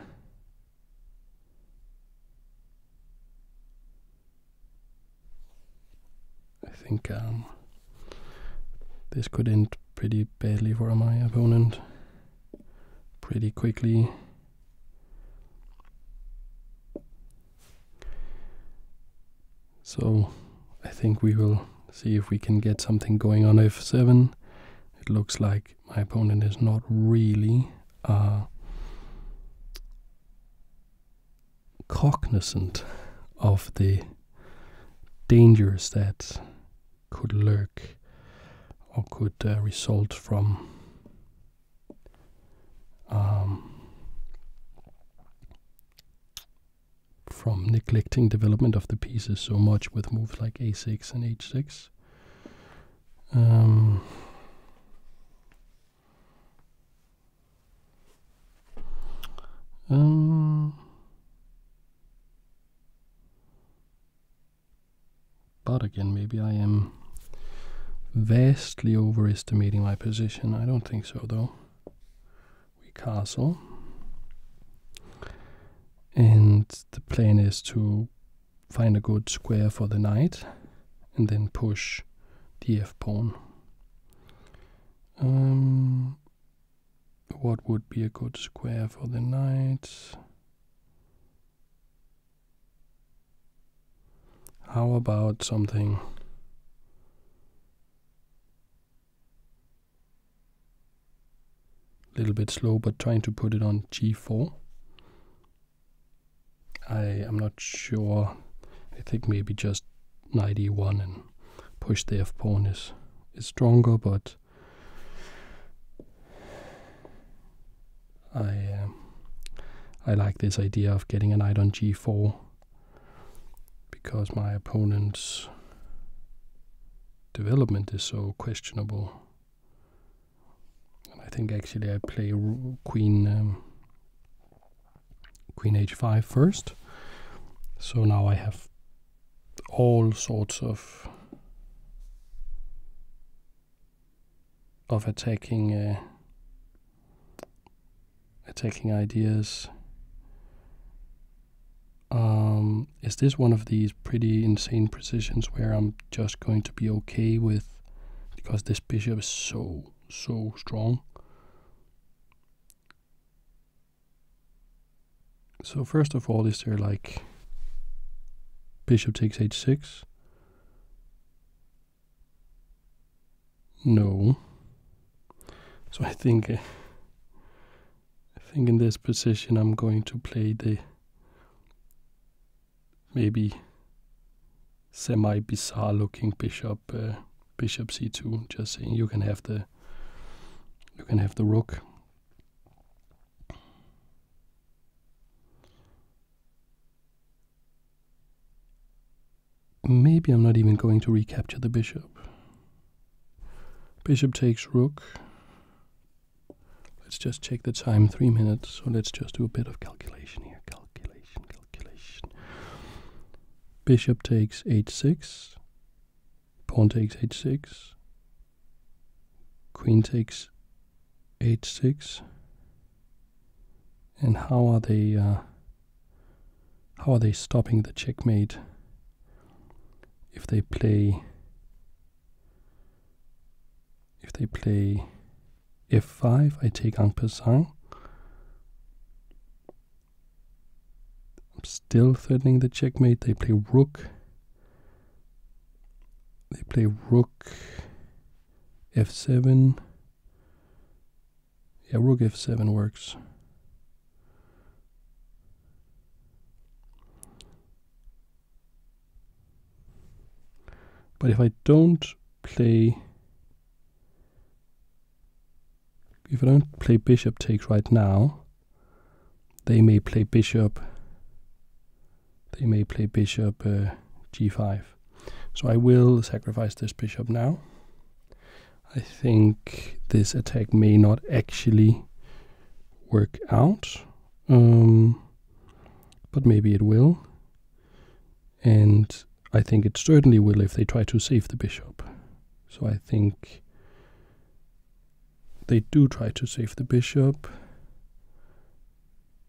I think um, this could end pretty badly for my opponent pretty quickly. So I think we will see if we can get something going on f7. It looks like my opponent is not really uh, cognizant of the dangers that could lurk or could uh, result from um, from neglecting development of the pieces so much with moves like a6 and h6. Um, um, but again, maybe I am vastly overestimating my position. I don't think so, though. We castle. And the plan is to find a good square for the knight and then push the f pawn. Um, what would be a good square for the knight? How about something a little bit slow, but trying to put it on g4. I am not sure. I think maybe just knight e1 and push the f pawn is is stronger, but I um, I like this idea of getting a knight on g4 because my opponent's development is so questionable. I think actually I play queen um, queen h5 first. So now I have all sorts of of attacking uh, attacking ideas um, is this one of these pretty insane positions where I'm just going to be okay with because this bishop is so so strong so first of all is there like bishop takes h6 no so I think uh, I think in this position I'm going to play the maybe semi-bizarre looking bishop uh, bishop c2 just saying you can have the you can have the rook maybe I'm not even going to recapture the bishop bishop takes rook Let's just check the time, three minutes. So let's just do a bit of calculation here. Calculation, calculation. Bishop takes h6. Pawn takes h6. Queen takes h6. And how are they? Uh, how are they stopping the checkmate? If they play if they play f5, I take Angpasang. I'm still threatening the checkmate. They play rook. They play rook f7. Yeah, rook f7 works. But if I don't play if I don't play bishop takes right now, they may play bishop they may play bishop uh, g5. So I will sacrifice this bishop now. I think this attack may not actually work out. Um, but maybe it will. And I think it certainly will if they try to save the bishop. So I think they do try to save the bishop.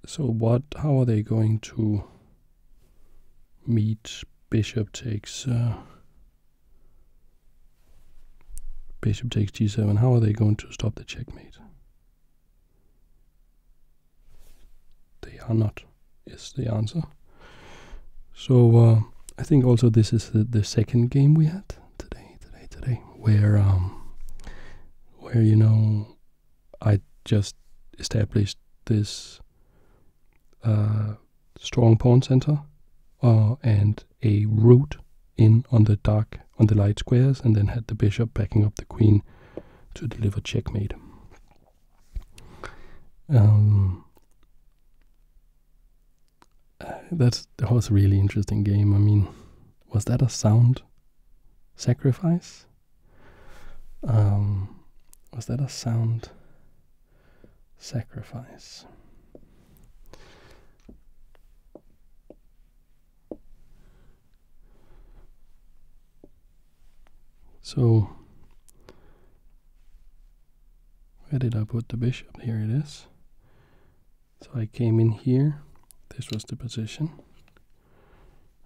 So what? How are they going to meet bishop takes? Uh, Bishop takes g7. How are they going to stop the checkmate? They are not, is the answer. So uh, I think also this is the, second game we had today, today, today, where um, where you know I just established this uh, strong pawn center uh, and a rook in on the dark on the light squares and then had the bishop backing up the queen to deliver checkmate. Um, uh, that was a really interesting game. I mean, was that a sound sacrifice? Um, was that a sound sacrifice? So, where did I put the bishop? Here it is. So I came in here, this was the position.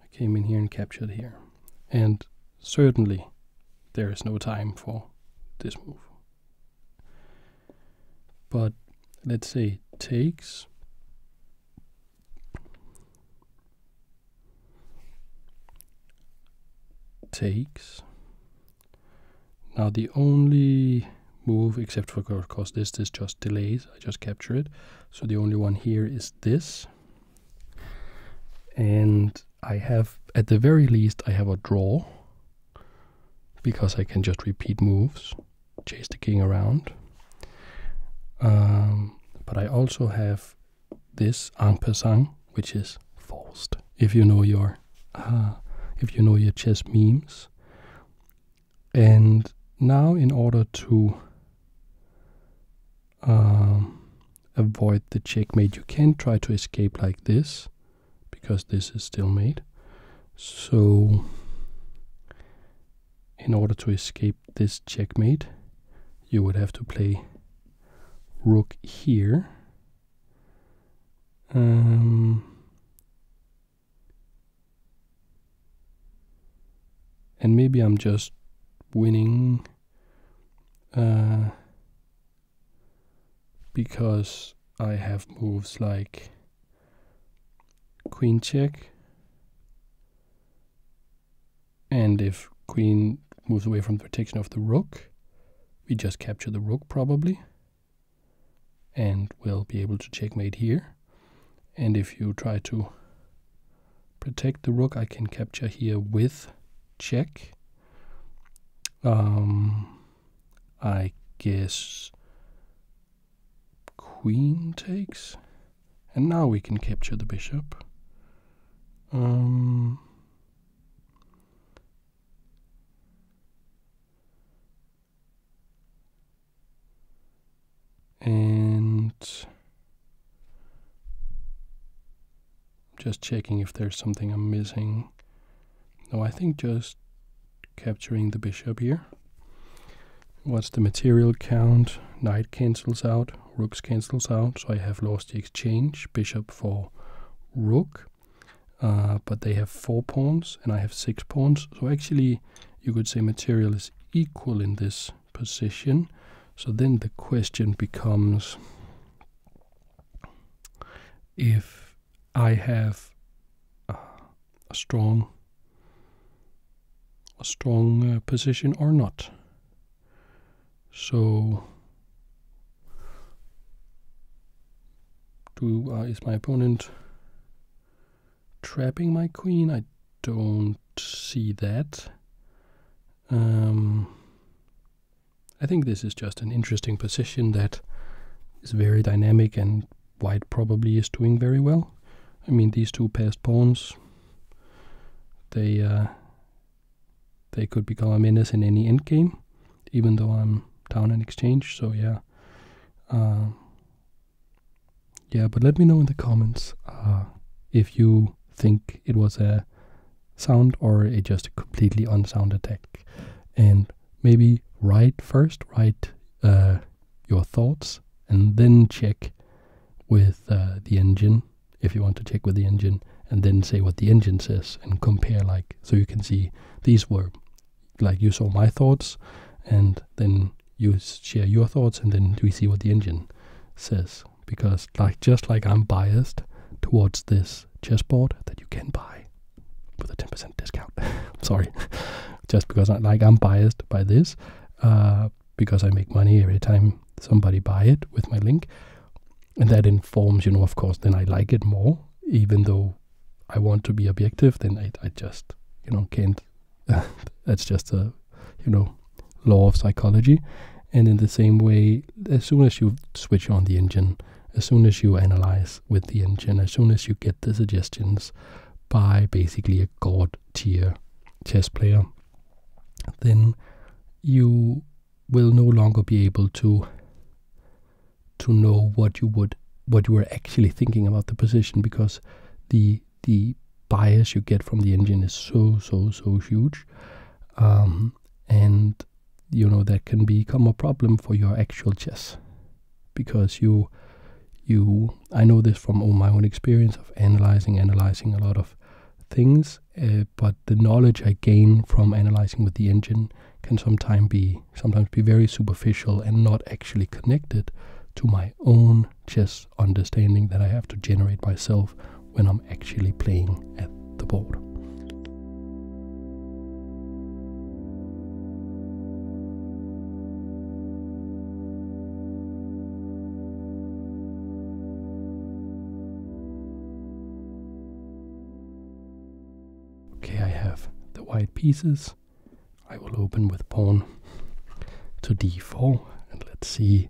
I came in here and captured here. And certainly there is no time for this move but let's say takes takes now the only move except for of course this this just delays I just capture it so the only one here is this and I have at the very least I have a draw because I can just repeat moves chase the king around. Um, but I also have this en passant, which is forced. If you know your ah, if you know your chess memes. And now, in order to um, avoid the checkmate, you can try to escape like this because this is still made. So in order to escape this checkmate, you would have to play rook here. Um, and maybe I'm just winning uh, because I have moves like queen check. And if queen moves away from the protection of the rook, we just capture the rook probably. And we'll be able to checkmate here. And if you try to protect the rook, I can capture here with check. Um, I guess queen takes. And now we can capture the bishop. Um, and just checking if there's something I'm missing. No, I think just capturing the bishop here. What's the material count? Knight cancels out, rooks cancels out, so I have lost the exchange, bishop for rook. Uh, but they have four pawns and I have six pawns. So actually, you could say material is equal in this position. So then the question becomes if I have a strong a strong uh, position or not. So do is my opponent trapping my queen? I don't see that. Um, I think this is just an interesting position that is very dynamic and white probably is doing very well. I mean, these two passed pawns, they uh, they could become a menace in any endgame, even though I'm down in exchange. So yeah, uh, yeah. But let me know in the comments uh, if you think it was a sound or a just a completely unsound attack, and maybe write first, write uh, your thoughts and then check with uh, the engine if you want to check with the engine and then say what the engine says and compare like so you can see these were like you saw my thoughts and then you share your thoughts and then we see what the engine says because like just like I'm biased towards this chessboard that you can buy with a 10% discount. sorry just because I like I'm biased by this uh, because I make money every time somebody buy it with my link, and that informs you know of course then I like it more even though I want to be objective then I I just you know can't that's just a you know law of psychology and in the same way as soon as you switch on the engine as soon as you analyze with the engine as soon as you get the suggestions by basically god tier chess player, then you will no longer be able to to know what you would what you were actually thinking about the position because the the bias you get from the engine is so so so huge um, and you know that can become a problem for your actual chess because you you I know this from all my own experience of analyzing analyzing a lot of things eh, but the knowledge I gain from analyzing with the engine can sometimes be sometimes be very superficial and not actually connected to my own chess understanding that I have to generate myself when I'm actually playing at the board. Okay, I have the white pieces. I will open with pawn to d4 and let's see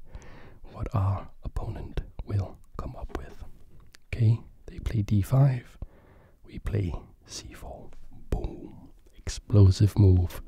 what our opponent will come up with. Okay, they play d5, we play c4. Boom. Explosive move.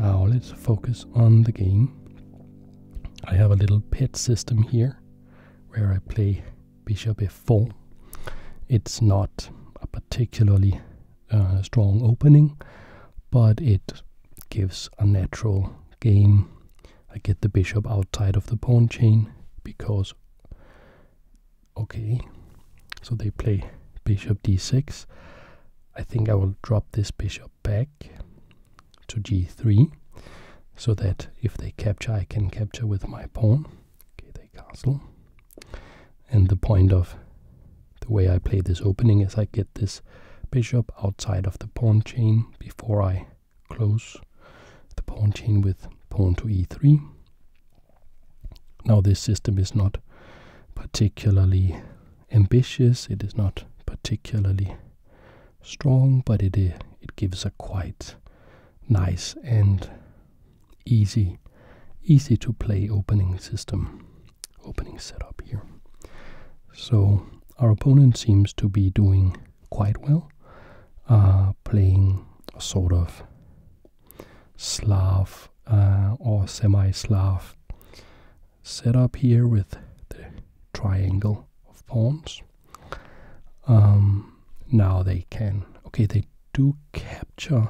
Now let's focus on the game. I have a little pet system here where I play bishop f4. It's not up particularly uh, strong opening, but it gives a natural game. I get the bishop outside of the pawn chain because, okay, so they play bishop d6. I think I will drop this bishop back to g3 so that if they capture, I can capture with my pawn. Okay, they castle. And the point of the way I play this opening is I get this bishop outside of the pawn chain before I close the pawn chain with pawn to e3. Now this system is not particularly ambitious, it is not particularly strong, but it, it gives a quite nice end easy, easy to play opening system, opening setup here. So our opponent seems to be doing quite well, uh, playing a sort of Slav uh, or semi-Slav setup here with the triangle of pawns. Um, now they can. Okay, they do capture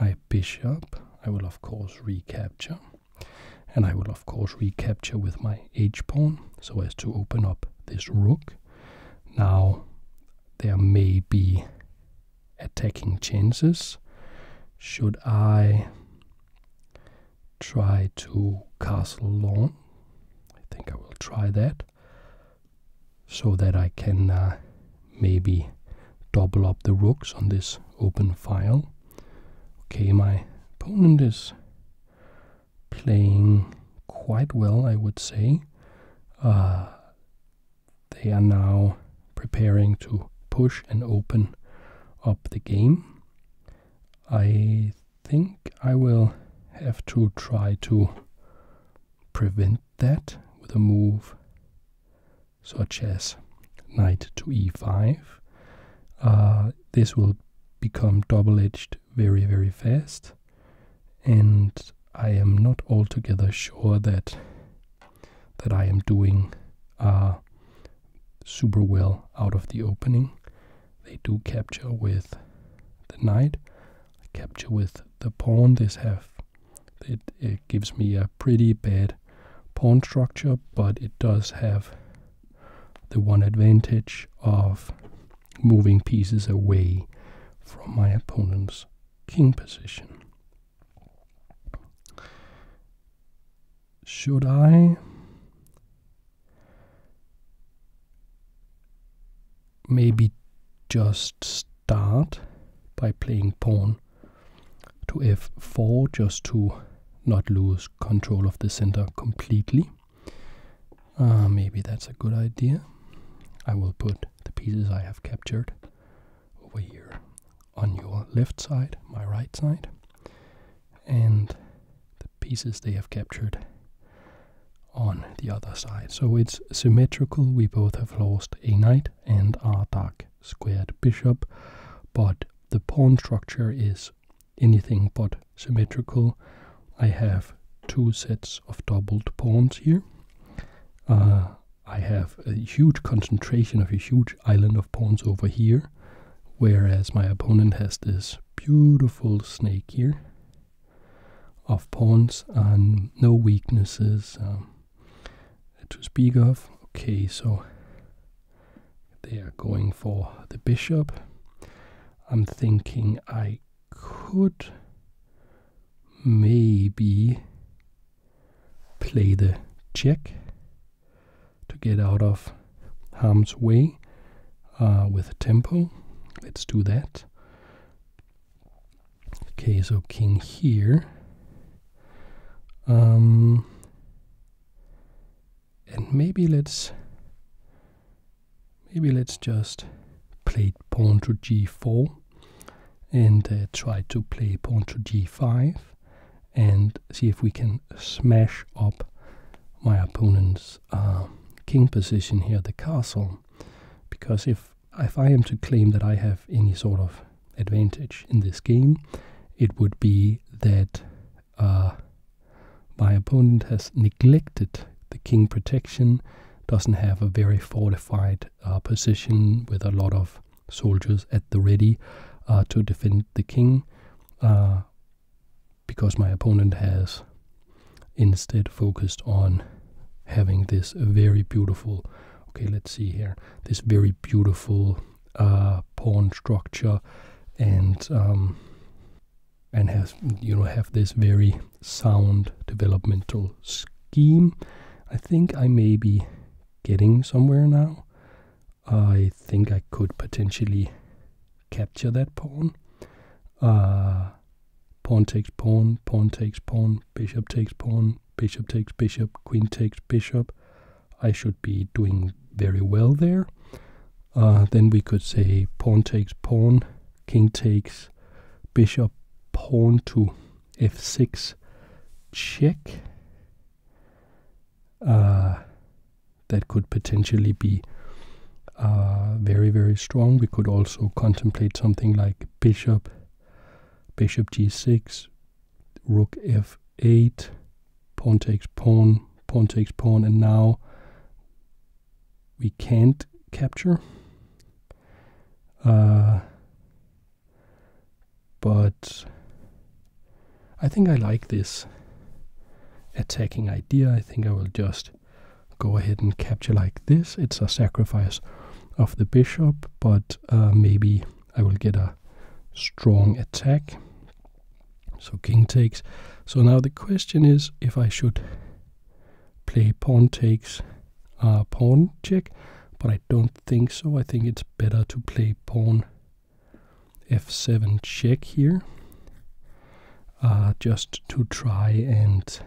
my bishop. I will, of course, recapture. And I will, of course, recapture with my h-pawn so as to open up this rook. Now, there may be attacking chances. Should I try to castle long? I think I will try that so that I can uh, maybe double up the rooks on this open file. Okay, my opponent is playing quite well, I would say. Uh, they are now preparing to push and open up the game. I think I will have to try to prevent that with a move such as knight to e5. Uh, this will become double-edged very, very fast. And I am not altogether sure that that I am doing uh, super well out of the opening. They do capture with the knight, capture with the pawn. This have it, it gives me a pretty bad pawn structure, but it does have the one advantage of moving pieces away from my opponent's king position. Should I maybe just start by playing pawn to f4 just to not lose control of the center completely. Uh, maybe that's a good idea. I will put the pieces I have captured over here on your left side, my right side, and the pieces they have captured on the other side. So it's symmetrical, we both have lost a knight and are dark squared bishop, but the pawn structure is anything but symmetrical. I have two sets of doubled pawns here. Uh, I have a huge concentration of a huge island of pawns over here, whereas my opponent has this beautiful snake here of pawns and no weaknesses. Um, to speak of. Okay, so they are going for the bishop. I'm thinking I could maybe play the check to get out of harm's way uh, with tempo. Let's do that. Okay, so king here. Um, and maybe let's maybe let's just play pawn to g4 and uh, try to play pawn to g5 and see if we can smash up my opponent's uh, king position here, the castle. Because if if I am to claim that I have any sort of advantage in this game, it would be that uh, my opponent has neglected the king protection, doesn't have a very fortified uh, position with a lot of soldiers at the ready uh, to defend the king, because my opponent has instead focused on having this very beautiful okay let's see here this very beautiful uh, pawn structure and um, and has you know have this very sound developmental scheme. I think I may be getting somewhere now. I think I could potentially capture that pawn. Uh, pawn takes pawn, pawn takes pawn, bishop takes pawn, bishop takes bishop, queen takes bishop, I should be doing very well there. Uh, then we could say pawn takes pawn, king takes bishop, pawn to f6, check. Uh, that could potentially be uh, very, very strong. We could also contemplate something like bishop, bishop g6, rook f eight, pawn takes pawn, pawn takes pawn, and now we can't capture. Uh, but I think I like this attacking idea. I think I will just go ahead and capture like this. It's a sacrifice of the bishop, but uh, maybe I will get a strong attack. So king takes. So now the question is if I should play pawn takes uh, pawn check, but I don't think so. I think it's better to play pawn f7 check here, uh, just to try and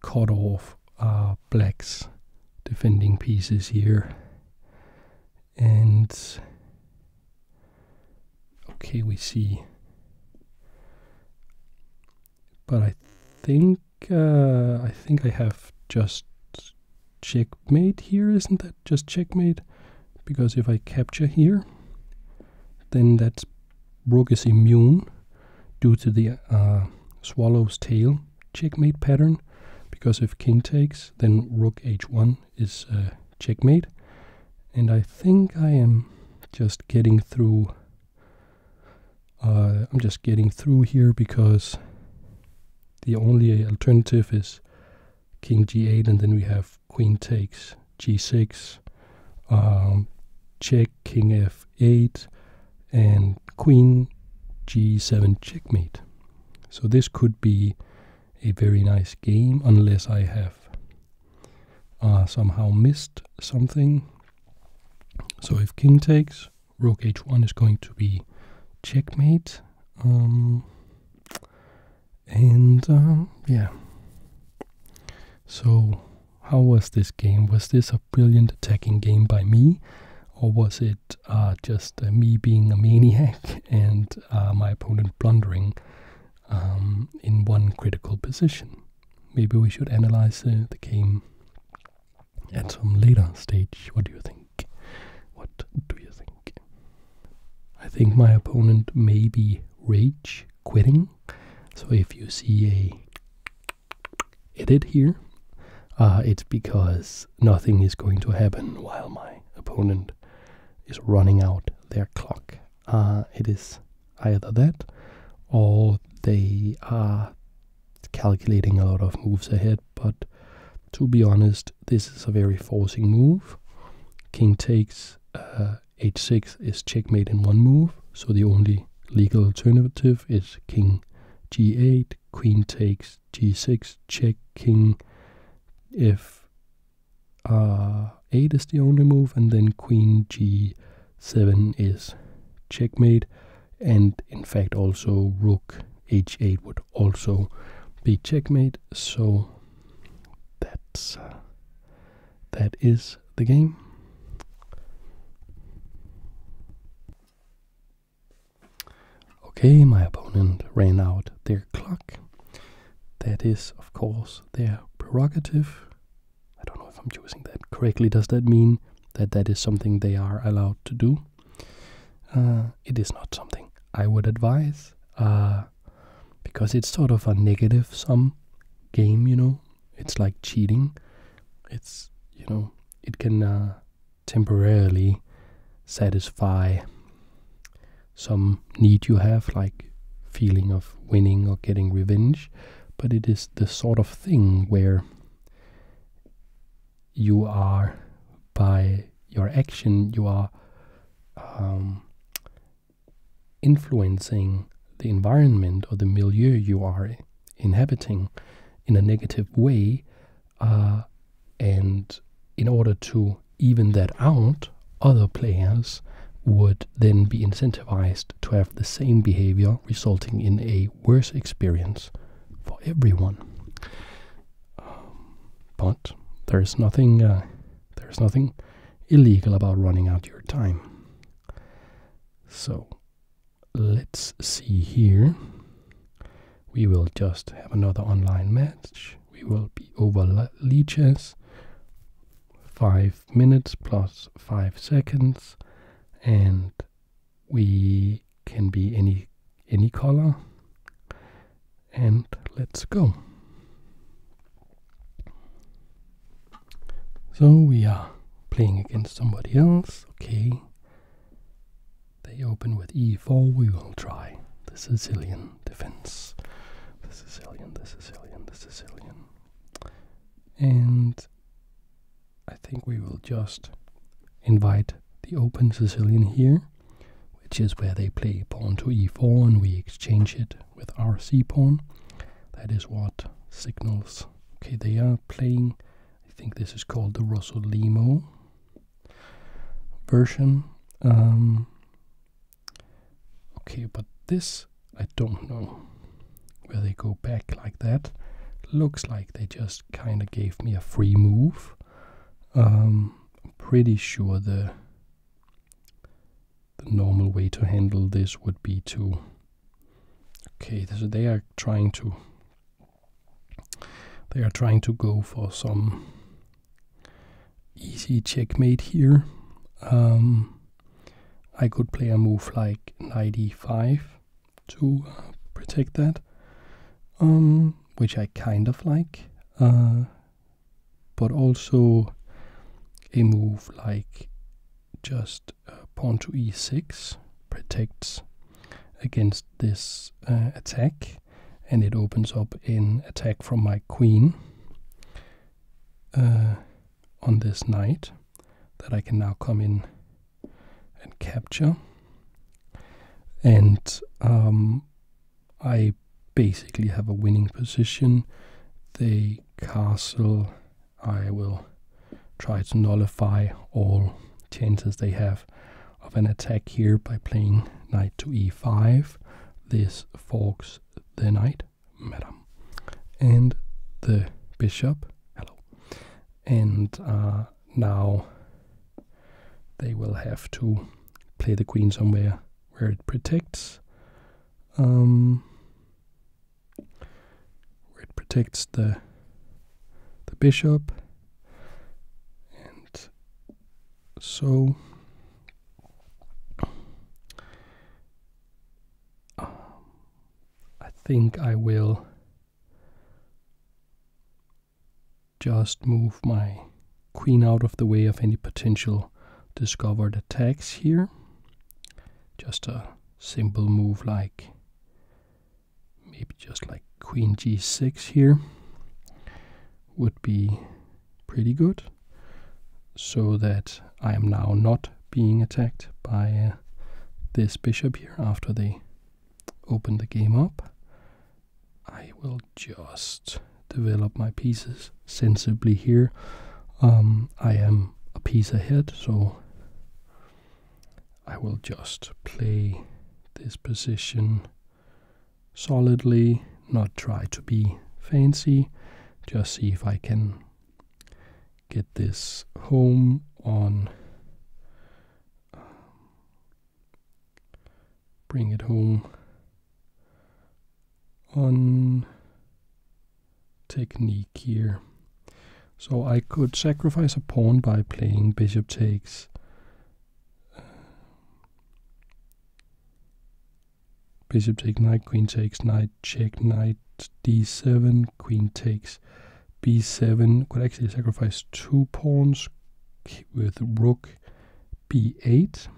cut off uh, black's defending pieces here. And okay, we see. But I think uh, I think I have just checkmate here, isn't that just checkmate? Because if I capture here, then that rook is immune due to the uh, swallow's tail checkmate pattern because if king takes, then rook h1 is uh, checkmate. And I think I am just getting through. Uh, I'm just getting through here because the only alternative is king g8, and then we have queen takes g6, um, check, king f8, and queen g7 checkmate. So this could be a very nice game unless I have uh, somehow missed something. So if king takes, rook h1 is going to be checkmate. Um, and uh, yeah. So how was this game? Was this a brilliant attacking game by me? Or was it uh, just uh, me being a maniac and uh, my opponent blundering um, in one critical position. Maybe we should analyze the game at some later stage. What do you think? What do you think? I think my opponent may be rage quitting. So if you see a edit here, it's because nothing is going to happen while my opponent is running out their clock. Uh, it is either that or they are calculating a lot of moves ahead, but to be honest, this is a very forcing move. King takes h6 uh, is checkmate in one move, so the only legal alternative is king g8, queen takes g6, checking, if check, uh, 8 is the only move, and then queen g7 is checkmate, and in fact also rook h8 would also be checkmate, so that's uh, that is the game. Okay, my opponent ran out their clock. That is, of course, their prerogative. I don't know if I'm choosing that correctly. Does that mean that that is something they are allowed to do? Uh, it is not something I would advise uh, because it's sort of a negative sum game, you know. It's like cheating. It's, you know, it can uh, temporarily satisfy some need you have, like feeling of winning or getting revenge, but it is the sort of thing where you are by your action you are um, influencing the environment or the milieu you are inhabiting in a negative way uh, and in order to even that out, other players would then be incentivized to have the same behavior, resulting in a worse experience for everyone. Um, but there's nothing, uh, there's nothing illegal about running out your time. So let's see here we will just have another online match. We will be over leeches. Five minutes plus five seconds, and we can be any any color. And let's go. So we are playing against somebody else. Okay. They open with e4. We will try the Sicilian defense. The Sicilian, the Sicilian, the Sicilian. And I think we will just invite the open Sicilian here, which is where they play pawn to e4 and we exchange it with our c pawn. That is what signals. Okay, they are playing, I think this is called the Rosolimo version. Um, okay, but this I don't know where they go back like that. Looks like they just kind of gave me a free move. Um, pretty sure the the normal way to handle this would be to okay so they are trying to they are trying to go for some easy checkmate here. Um, I could play a move like knight 5 to uh, protect that, um, which I kind of like. Uh, but also a move like just uh, pawn to e6 protects against this attack and it opens up in attack from my queen uh, on this knight that I can now come in and capture. And um, I basically have a winning position. The castle, I will try to nullify all chances they have of an attack here by playing knight to e5. This forks the knight, madam, and the bishop. Hello. And uh, now they will have to play the queen somewhere where it protects. Um, where it protects the the bishop and so um, I think I will just move my queen out of the way of any potential discovered attacks here. Just a simple move like maybe just like queen g6 here would be pretty good so that I am now not being attacked by uh, this bishop here after they open the game up. I will just develop my pieces sensibly here. Um, I am a piece ahead, so I will just play this position solidly, not try to be fancy, just see if I can get this home on. Um, bring it home on technique here. So I could sacrifice a pawn by playing bishop takes um, bishop takes knight, queen takes knight, check knight d7, queen takes b7. Could actually sacrifice two pawns with rook b8.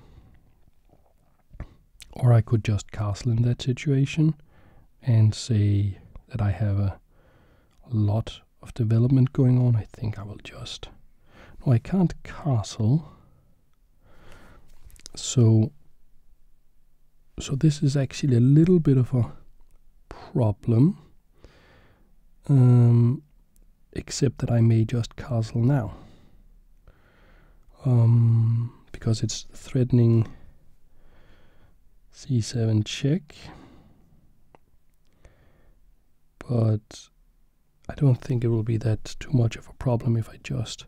Or I could just castle in that situation and say that I have a lot of development going on. I think I will just no, I can't castle. So, so this is actually a little bit of a problem. Um, except that I may just castle now. Um, because it's threatening c7 check. But I don't think it will be that too much of a problem if I just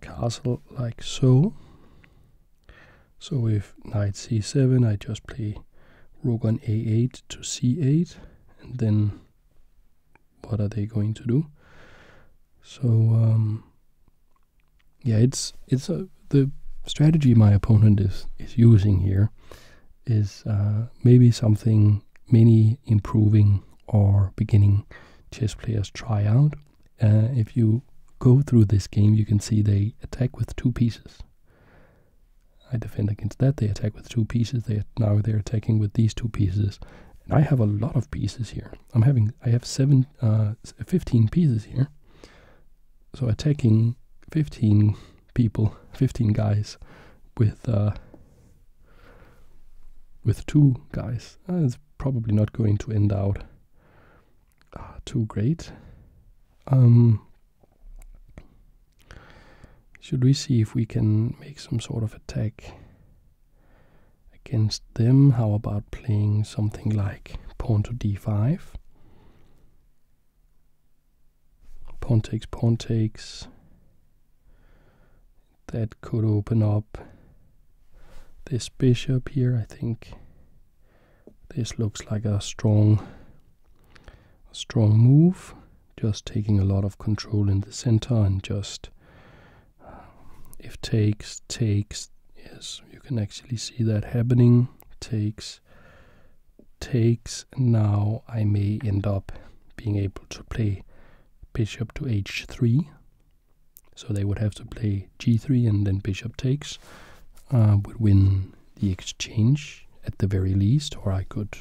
castle like so. So if knight c7, I just play rook on a8 to c8, and then what are they going to do? So um, yeah, it's it's a, the strategy my opponent is is using here is uh, maybe something many improving or beginning chess players try out. Uh, if you go through this game, you can see they attack with two pieces. I defend against that. They attack with two pieces. They now they're attacking with these two pieces. And I have a lot of pieces here. I'm having I have seven, uh, 15 pieces here. So attacking 15 people, 15 guys with uh, with two guys. Uh, it's probably not going to end out uh, too great. Um, should we see if we can make some sort of attack against them? How about playing something like pawn to d5? Pontex, Pontex. That could open up this bishop here, I think. This looks like a strong, strong move. Just taking a lot of control in the center and just uh, if takes, takes, yes, you can actually see that happening. Takes, takes now I may end up being able to play bishop to h3. So they would have to play g3 and then bishop takes. Uh, would win the exchange at the very least, or I could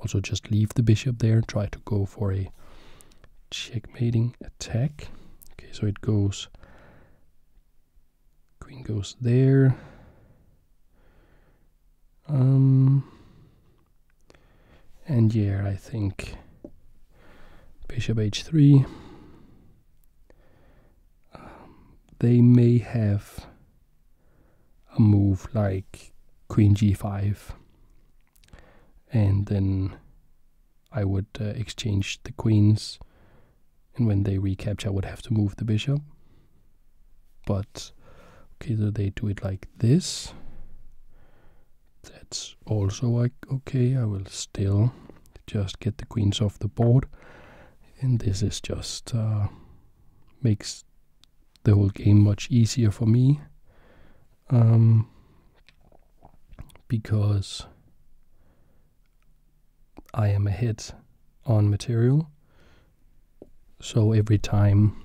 also just leave the bishop there, try to go for a checkmating attack. Okay, so it goes, queen goes there, um, and yeah, I think bishop h3. Um, they may have a move like queen g5 and then I would uh, exchange the queens and when they recapture I would have to move the bishop but okay so they do it like this that's also like okay i will still just get the queens off the board and this is just uh, makes the whole game much easier for me um, because I am ahead on material so every time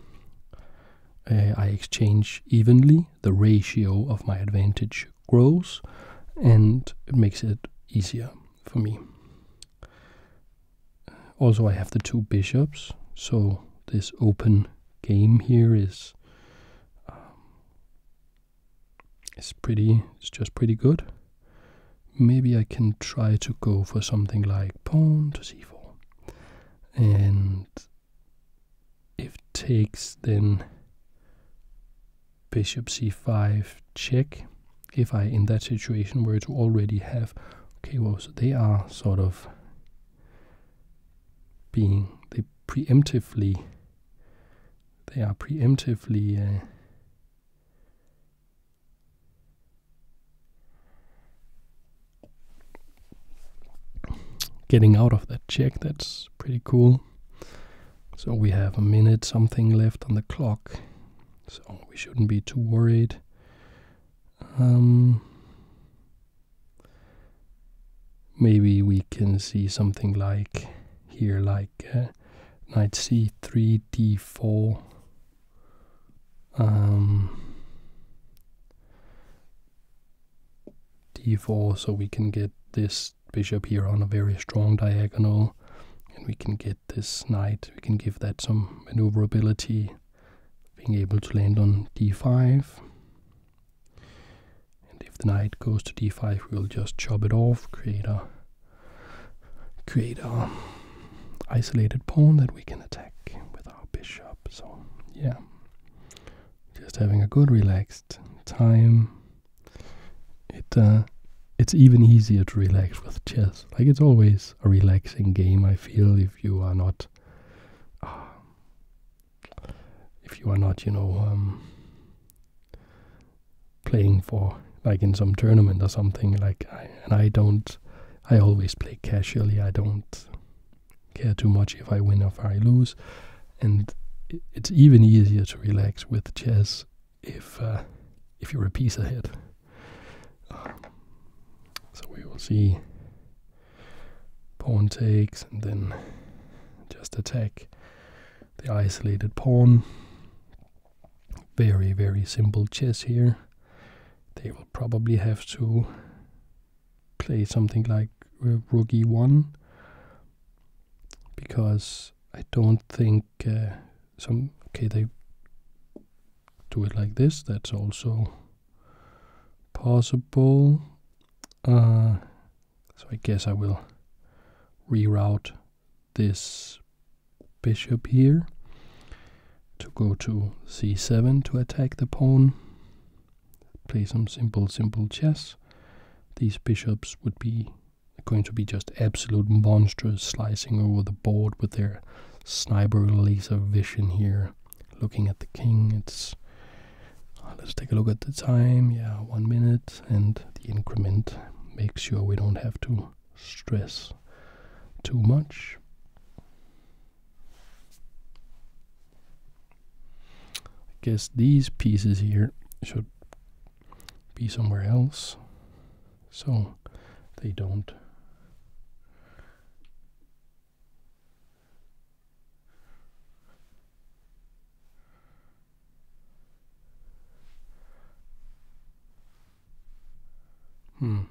uh, I exchange evenly, the ratio of my advantage grows and it makes it easier for me. Also, I have the two bishops, so this open game here is um, is pretty. It's just pretty good. Maybe I can try to go for something like pawn to c4 and if takes then bishop c5 check if I in that situation were to already have okay well so they are sort of being they preemptively they are preemptively uh, Getting out of that check, that's pretty cool. So we have a minute something left on the clock, so we shouldn't be too worried. Um, maybe we can see something like here, like night c3, d4, um, d4 so we can get this bishop here on a very strong diagonal and we can get this knight we can give that some maneuverability being able to land on d5 and if the knight goes to d5 we'll just chop it off create a create a isolated pawn that we can attack with with our bishop. So, yeah, mm. just having a good relaxed time. It uh, it's even easier to relax with chess. Like it's always a relaxing game. I feel if you are not, uh, if you are not, you know, um, playing for like in some tournament or something. Like, and I don't. I always play casually. I don't care too much if I win or if I lose. And it's even easier to relax with chess if uh, if you're a piece ahead. Um, so we will see pawn takes and then just attack the isolated pawn. Very, very simple chess here. They will probably have to play something like uh, rook e1 because I don't think uh, some okay they do it like this that's also possible uh, so I guess I will reroute this bishop here to go to c7 to attack the pawn play some simple, simple chess. These bishops would be going to be just absolute monsters slicing over the board with their sniper laser vision here. Looking at the king, it's. Ah, let's take a look at the time. Yeah, one minute, and the increment. Make sure we don't have to stress too much. I guess these pieces here should be somewhere else so they don't Hmm.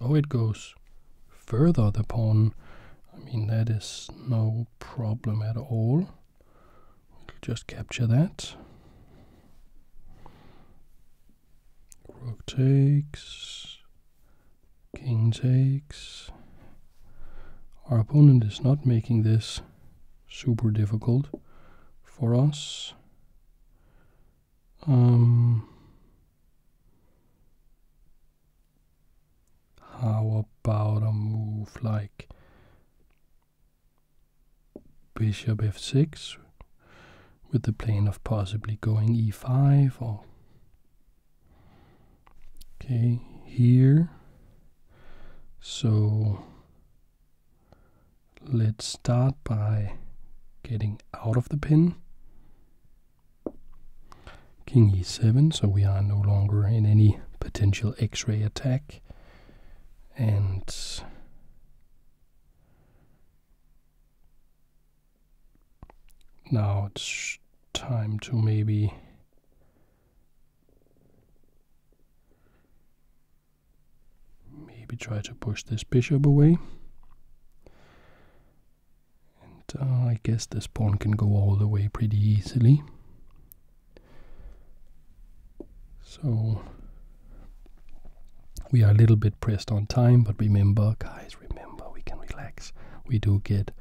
Oh, it goes further, the pawn. I mean, that is no problem at all. just capture that. Rook takes, king takes. Our opponent is not making this super difficult for us. Um, how about a move like bishop f6 with the plan of possibly going e5 or okay here so let's start by getting out of the pin King e7, so we are no longer in any potential x ray attack. And now it's time to maybe. Maybe try to push this bishop away. And uh, I guess this pawn can go all the way pretty easily. So we are a little bit pressed on time, but remember, guys, remember we can relax. We do get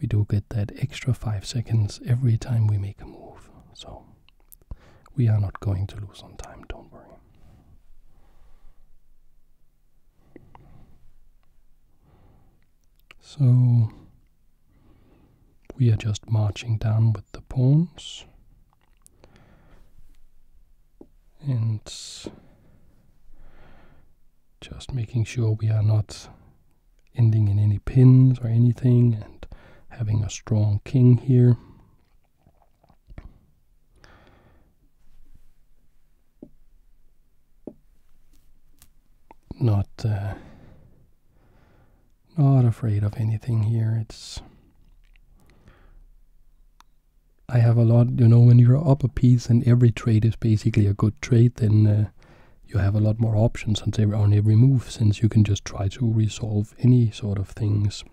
we do get that extra five seconds every time we make a move. So we are not going to lose on time, don't worry. So we are just marching down with the pawns. And just making sure we are not ending in any pins or anything and having a strong king here not uh, not afraid of anything here. It's I have a lot, you know, when you're up a piece and every trade is basically a good trade, then uh, you have a lot more options and they're only move since you can just try to resolve any sort of things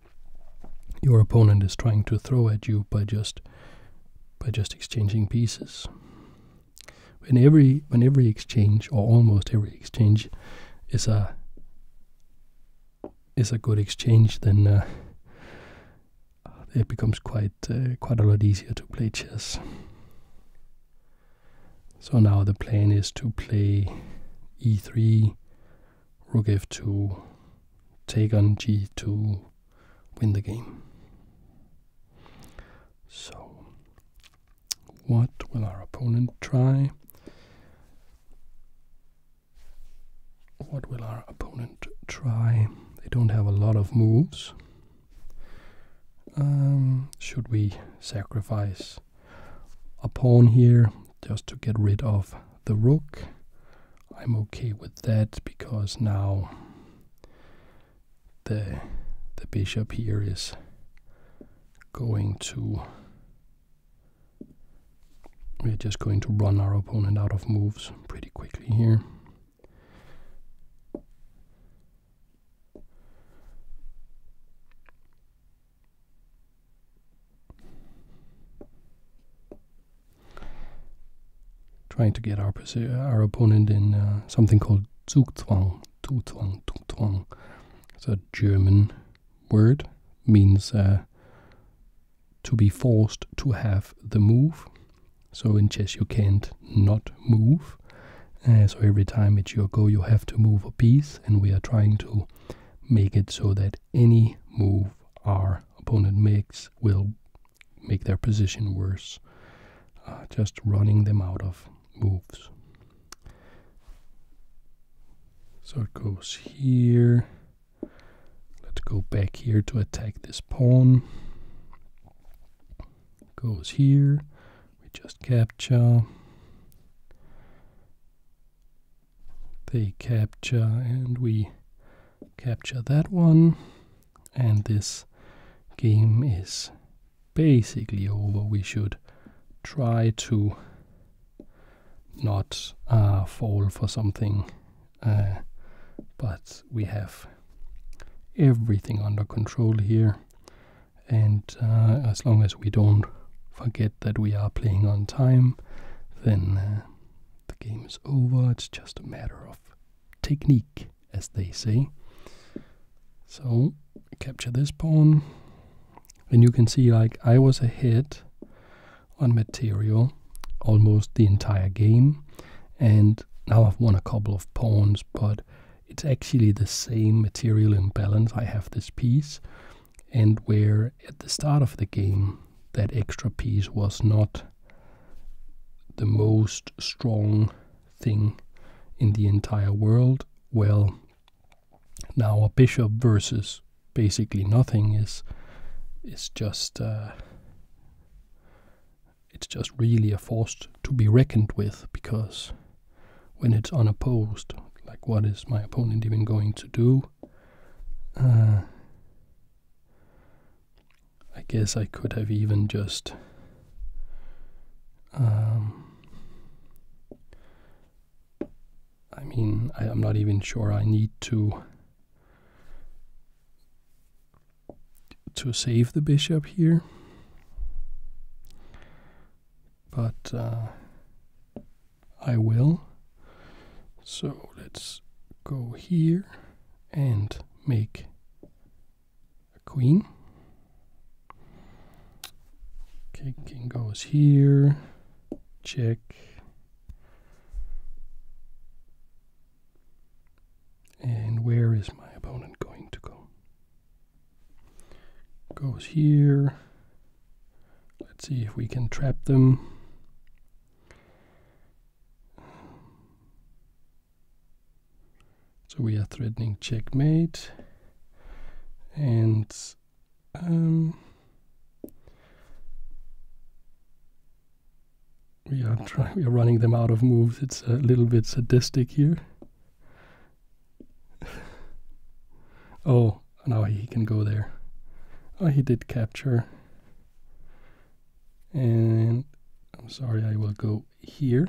your opponent is trying to throw at you by just by just exchanging pieces. When every, when every exchange, or almost every exchange, is a is a good exchange, then uh, it becomes quite uh, quite a lot easier to play chess. So now the plan is to play e3, rook f2, take on g2, win the game. So, what will our opponent try? What will our opponent try? They don't have a lot of moves. Um, should we sacrifice a pawn here just to get rid of the rook? I'm okay with that because now the the bishop here is going to we're just going to run our opponent out of moves pretty quickly here trying to get our opponent in uh, something called Zugzwang. Zugzwang, Zugzwang. It's a German word, means uh, to be forced to have the move. So in chess you can't not move. Uh, so every time it's your go, you have to move a piece, and we are trying to make it so that any move our opponent makes will make their position worse. Uh, just running them out of moves. So it goes here. Let's go back here to attack this pawn. Goes here. We just capture. They capture, and we capture that one and this game is basically over. We should try to not uh, fall for something, uh, but we have everything under control here. And uh, as long as we don't forget that we are playing on time, then the game is over. It's just a matter of technique, as they say. So capture this pawn, and you can see like I was ahead on material almost the entire game, and now I've won a couple of pawns, but it's actually the same material imbalance. I have this piece, and where at the start of the game that extra piece was not the most strong thing in the entire world? Well, now a bishop versus basically nothing is is just uh, it's just really a force to be reckoned with because when it's unopposed, like what is my opponent even going to do? Uh, I guess I could have even just um, I mean, I, I'm not even sure I need to to save the bishop here. But uh, I will. So let's go here and make a queen. king goes here. Check. And where is my opponent going to go? Goes here. Let's see if we can trap them. So we are threatening checkmate, and um, we are We are running them out of moves. It's a little bit sadistic here. oh, now he can go there. Oh, he did capture and I'm sorry I will go here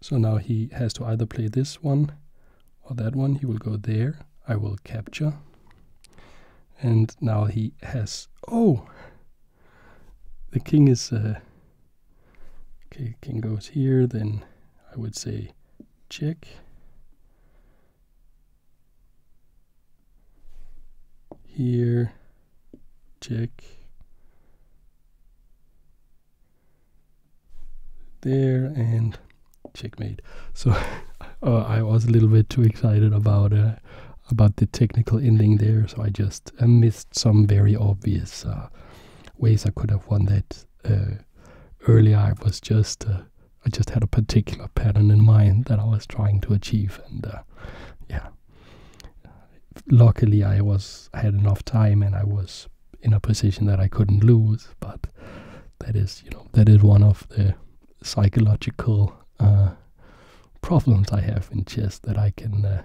so now he has to either play this one or that one he will go there I will capture and now he has oh the king is uh, okay king goes here then I would say check here, check. There and checkmate. So uh, I was a little bit too excited about uh, about the technical ending there, so I just uh, missed some very obvious ways I could have won that. earlier I was just I just had a particular pattern in mind that I was trying to achieve, and uh, yeah. Luckily, I was had enough time, and I was in a position that I couldn't lose. But that is, you know, that is one of the psychological uh, problems I have in chess that I can uh,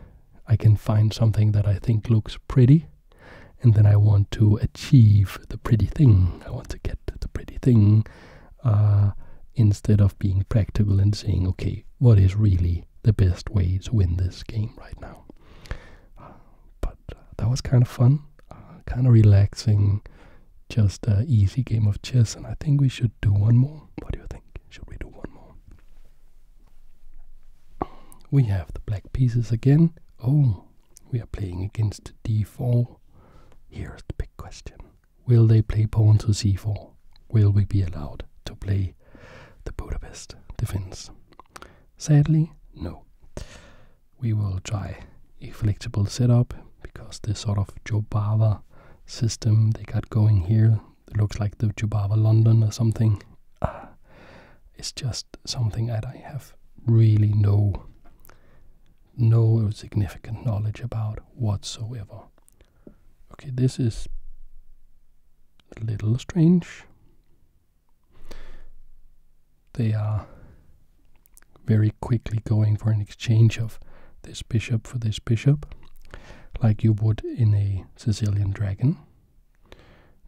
I can find something that I think looks pretty, and then I want to achieve the pretty thing. I want to get the pretty thing. Uh, instead of being practical and saying, okay, what is really the best way to win this game right now? but uh, that was kind of fun, uh, kind of relaxing, just an easy game of chess, and I think we should do one more. What do you think? Should we do one more? We have the black pieces again. Oh, we are playing against d4. Here's the big question. Will they play pawn to c4? Will we be allowed to play the Budapest defense? Sadly, no. We will try a flexible setup because this sort of Jobava system they got going here looks like the Jobava London or something. Uh, it's just something that I have really no no significant knowledge about whatsoever. Okay, this is a little strange. They are very quickly going for an exchange of this bishop for this bishop, like you would in a Sicilian dragon.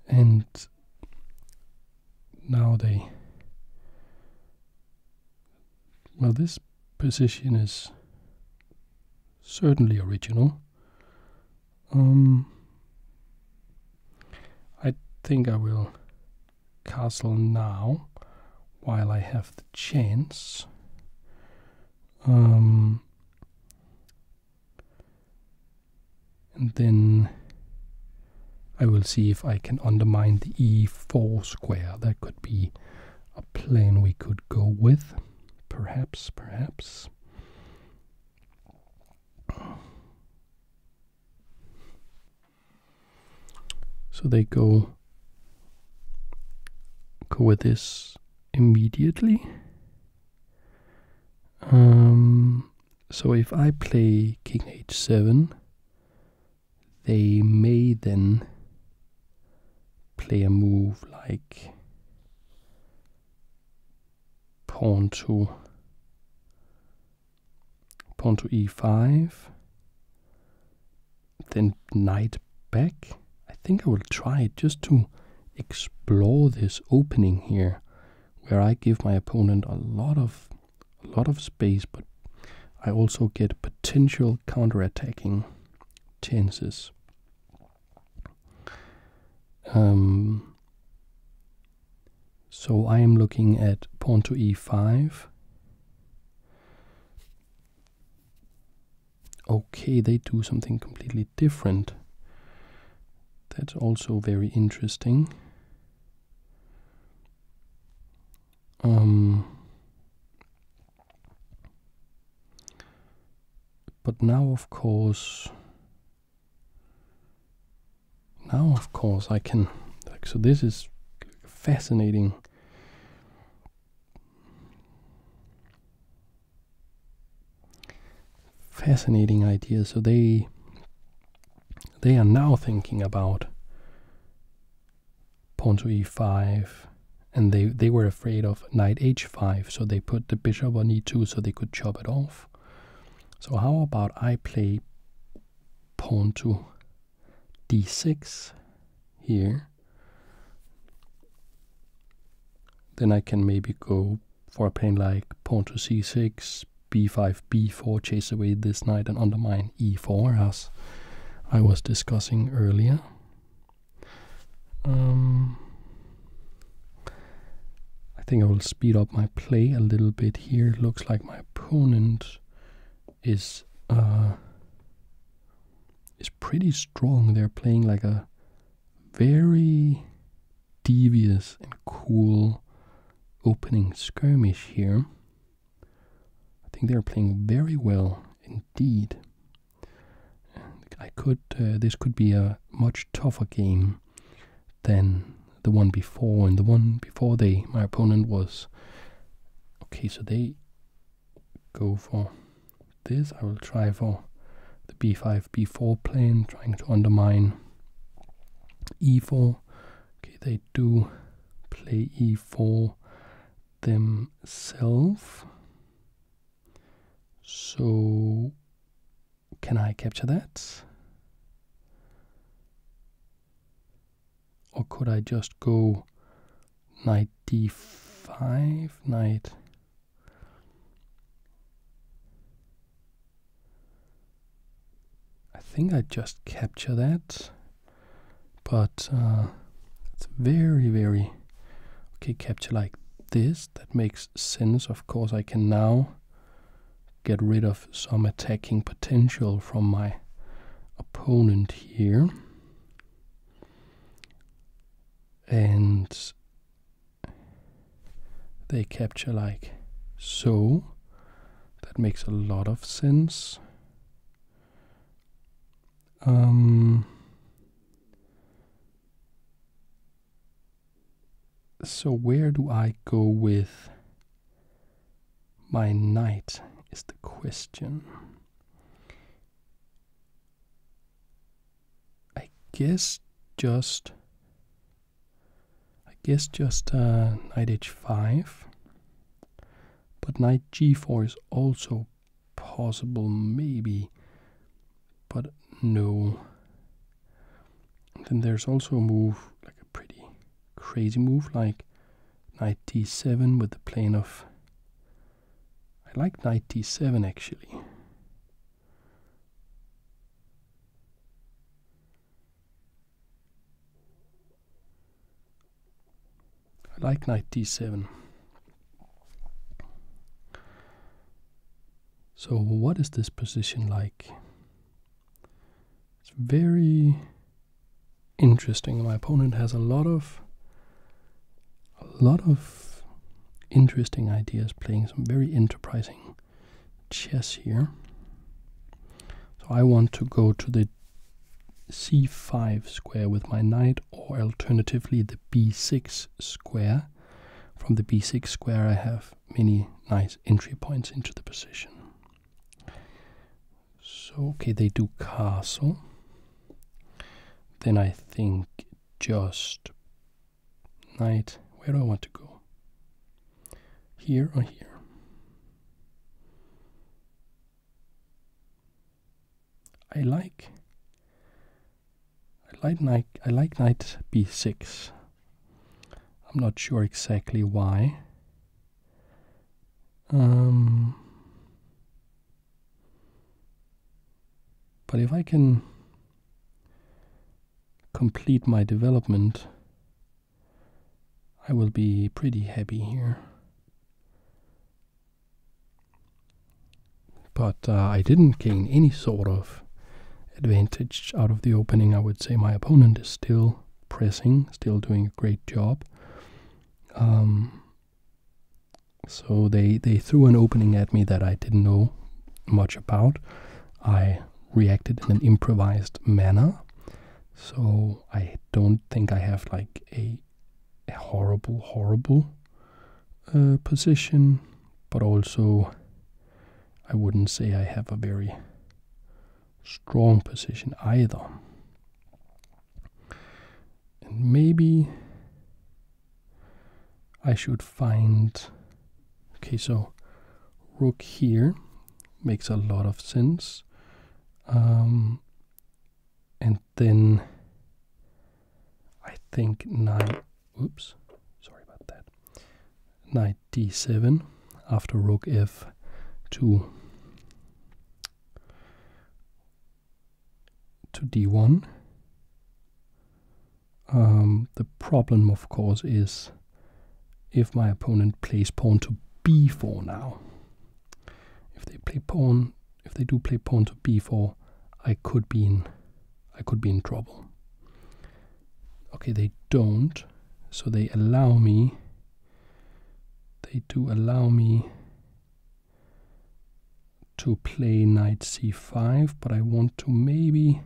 And now they. Well, this position is certainly original. Um, I think I will castle now while I have the chance. Um, and then I will see if I can undermine the e4 square. That could be a plane we could go with. Perhaps, perhaps. So they go go with this immediately. Um, so if I play king h7, they may then play a move like pawn to pawn to e5 then knight back i think i will try just to explore this opening here where i give my opponent a lot of a lot of space but i also get potential Counterattacking tenses. Um, so I am looking at pawn to e5. Okay, they do something completely different. That's also very interesting. Um, but now, of course, now, of course, I can. so this is fascinating. Fascinating idea. So they they are now thinking about pawn to e5, and they, they were afraid of knight h5, so they put the bishop on e2 so they could chop it off. So how about I play pawn to d6 here. Then I can maybe go for a pawn like pawn to c6, b5, b4, chase away this knight and undermine e4 as I was discussing earlier. Um, I think I will speed up my play a little bit here. looks like my opponent is uh, is pretty strong. They're playing like a very devious and cool opening skirmish here. I think they're playing very well indeed. I could. Uh, this could be a much tougher game than the one before, and the one before they, my opponent was. Okay, so they go for this. I will try for the b5, b4 plan, trying to undermine e4. Okay, they do play e4 themselves. So, can I capture that? Or could I just go knight d5, knight I think I just capture that but uh, it's very very okay capture like this that makes sense of course i can now get rid of some attacking potential from my opponent here and they capture like so that makes a lot of sense um, so where do I go with my knight is the question. I guess just I guess just uh, knight h5 but knight g4 is also possible, maybe, but no. then there's also a move, like a pretty crazy move, like knight d7 with the plane of. I like knight d7 actually. I like knight d7. So, what is this position like? It's very interesting. My opponent has a lot of a lot of interesting ideas playing some very enterprising chess here. So I want to go to the c5 square with my knight or alternatively the b6 square. From the b6 square I have many nice entry points into the position. So, okay, they do castle. Then I think just knight. Where do I want to go? Here or here? I like I like knight I like knight b6. I'm not sure exactly why. Um, but if I can complete my development, I will be pretty happy here. But uh, I didn't gain any sort of advantage out of the opening. I would say my opponent is still pressing, still doing a great job. Um, so they they threw an opening at me that I didn't know much about. I reacted in an improvised manner. So I don't think I have like a a horrible, horrible uh, position, but also I wouldn't say I have a very strong position either. And maybe I should find. Okay, so rook here makes a lot of sense. Um, and then I think knight, oops, sorry about that, knight d7 after rook f2 to d1. Um, the problem, of course, is if my opponent plays pawn to b4 now. If they play pawn if they do play pawn to b4, I could be in I could be in trouble. Okay, they don't, so they allow me. They do allow me to play knight c5, but I want to maybe.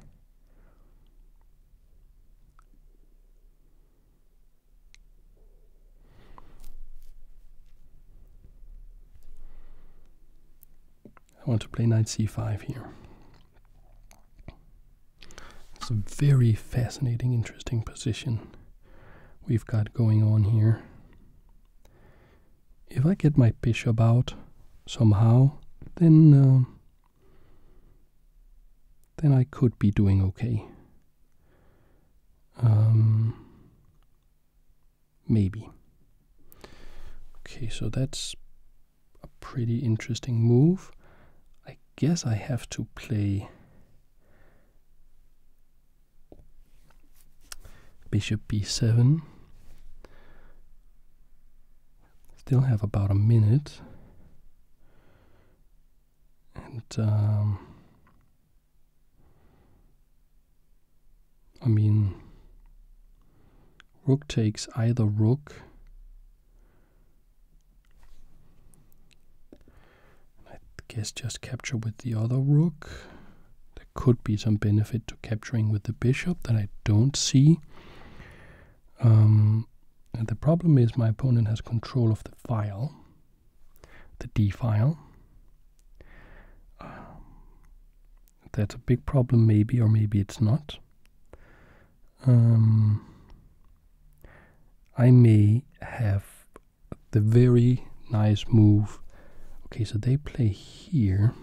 I want to play knight c5 here. It's a very fascinating, interesting position we've got going on here. If I get my bishop out somehow, then um, then I could be doing okay. Um, Maybe. Okay, so that's a pretty interesting move. I guess I have to play bishop b7. Still have about a minute. And um, I mean, rook takes either rook. I guess just capture with the other rook. There could be some benefit to capturing with the bishop that I don't see. Um, and the problem is my opponent has control of the file, the d file. Um, that's a big problem, maybe, or maybe it's not. Um, I may have the very nice move. Okay, so they play here.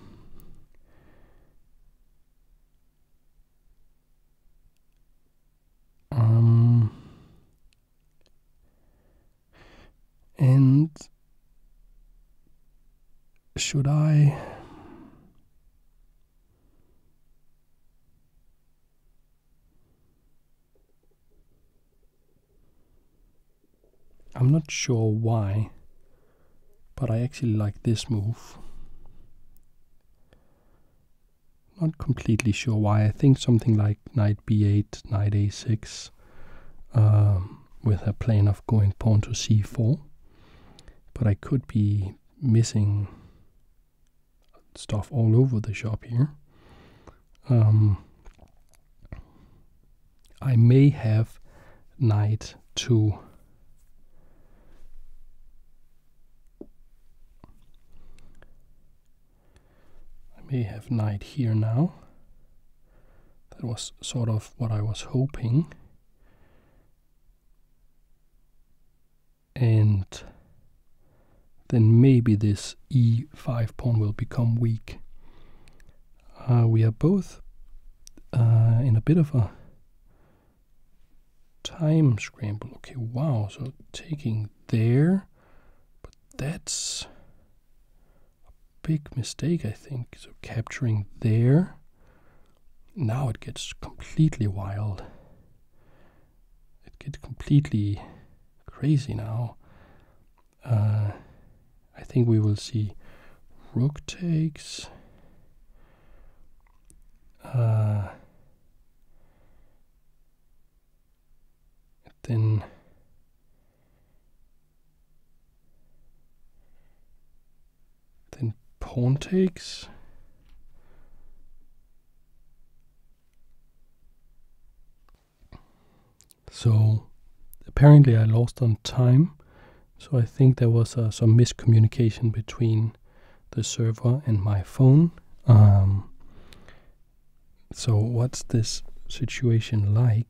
Um, and should I I'm not sure why, but I actually like this move. Not completely sure why. I think something like knight b8, knight a6 um, with a plan of going pawn to c4. But I could be missing stuff all over the shop here. Um, I may have knight two. I may have knight here now that was sort of what I was hoping. And then maybe this e5 pawn will become weak. Uh, we are both uh, in a bit of a time scramble. Okay, wow, so taking there, but that's big mistake, I think. So capturing there. Now it gets completely wild. It gets completely crazy now. Uh, I think we will see rook takes. Uh, then then pawn takes. So apparently I lost on time. So I think there was uh, some miscommunication between the server and my phone. Um, so what's this situation like?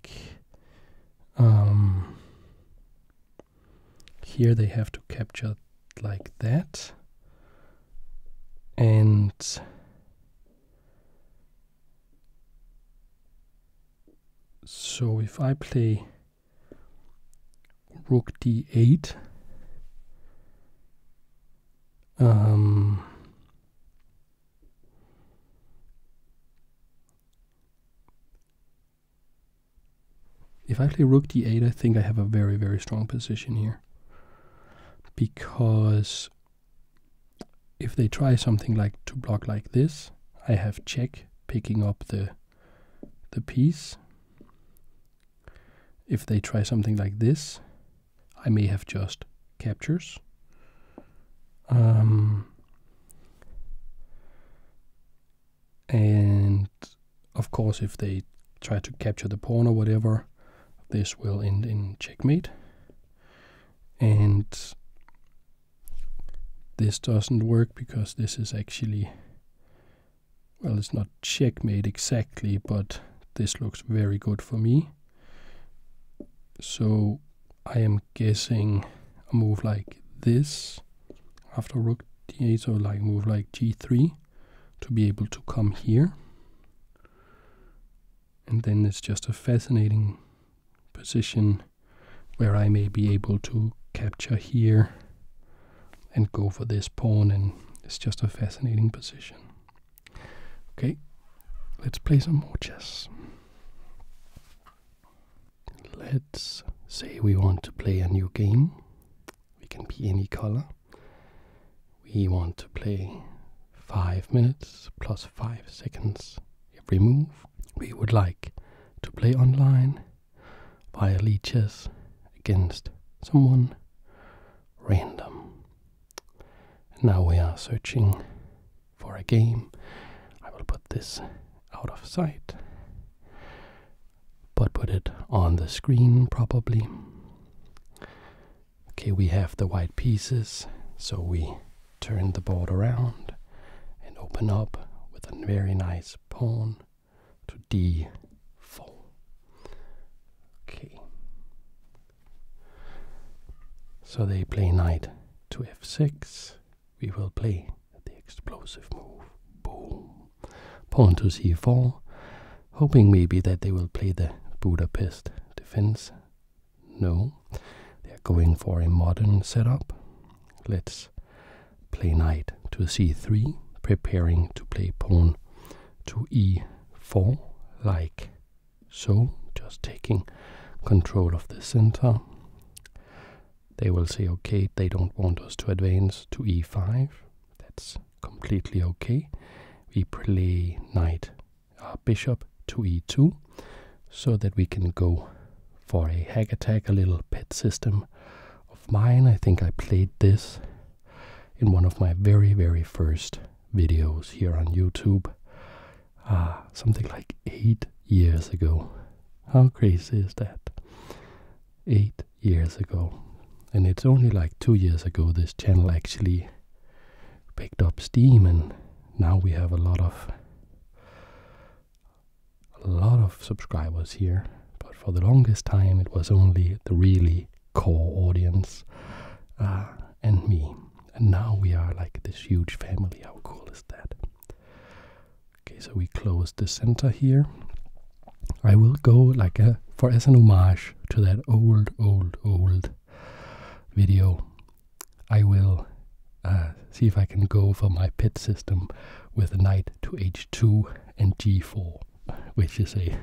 Um, here they have to capture like that and so if I play rook d8 if I play rook d8, I think I have a very, very strong position here. Because if they try something like to block like this, I have check picking up the the piece. If they try something like this, I may have just captures. Um, and of course, if they try to capture the pawn or whatever, this will end in checkmate. And this doesn't work because this is actually, well, it's not checkmate exactly, but this looks very good for me. So I am guessing a move like this after rook d8, so like move like g3 to be able to come here. And then it's just a fascinating position where I may be able to capture here and go for this pawn and it's just a fascinating position. Okay, let's play some more chess. Let's say we want to play a new game. We can be any color. We want to play 5 minutes plus 5 seconds every move. We would like to play online via leeches against someone random. now we are searching for a game. I will put this out of sight, but put it on the screen probably. Okay, we have the white pieces, so we turn the board around and open up with a very nice pawn to d4. Okay. So they play knight to f6 we will play the explosive move. Boom. Pawn to c4, hoping maybe that they will play the Budapest defense. No, they're going for a modern setup. Let's play knight to c3, preparing to play pawn to e4, like so, just taking control of the center. They will say, okay, they don't want us to advance to e5. That's completely okay. We play knight, uh, bishop to e2, so that we can go for a hack attack, a little pet system of mine. I think I played this in one of my very, very first videos here on YouTube, uh, something like eight years ago. How crazy is that? Eight years ago. And it's only like two years ago this channel actually picked up steam and now we have a lot of a lot of subscribers here. But for the longest time it was only the really core audience uh, and me. And now we are like this huge family. How cool is that? Okay, so we close the center here. I will go like a, for as an homage to that old, old, old video. I will uh, see if I can go for my pit system with knight to h2 and g4, which is a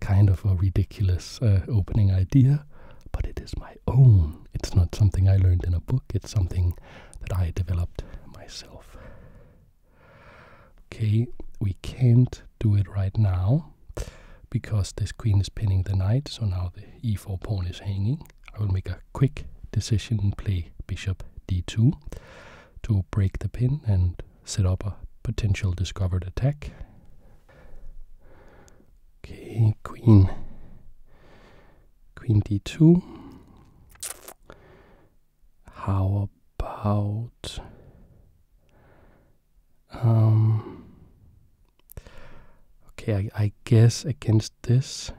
kind of a ridiculous uh, opening idea, but it is my own. It's not something I learned in a book. It's something that I developed myself. Okay, we can't do it right now because this queen is pinning the knight, so now the e4 pawn is hanging. I will make a quick decision and play bishop d2 to break the pin and set up a potential discovered attack. Okay, queen queen d2 how about um okay I, guess against this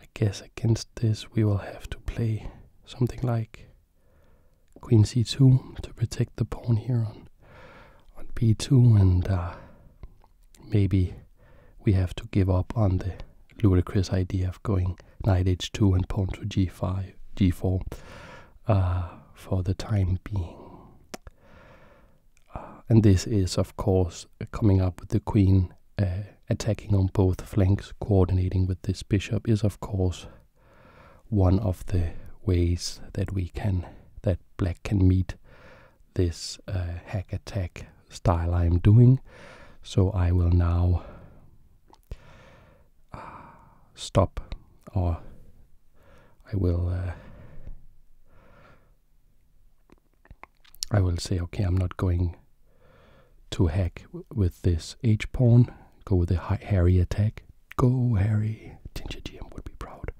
I guess against this we will have to play something like queen c2 to protect the pawn here on on b2 and uh, maybe we have to give up on the ludicrous idea of going knight h2 and pawn to g5, g4 uh, for the time being. Uh, and this is, of course, coming up with the queen uh, attacking on both flanks, coordinating with this bishop is, of course, one of the ways that we can that black can meet this uh, hack attack style I'm doing. So I will now uh, stop or I will uh, I will say okay I'm not going to hack with this H pawn go with the Harry attack go Harry Ginger GM would be proud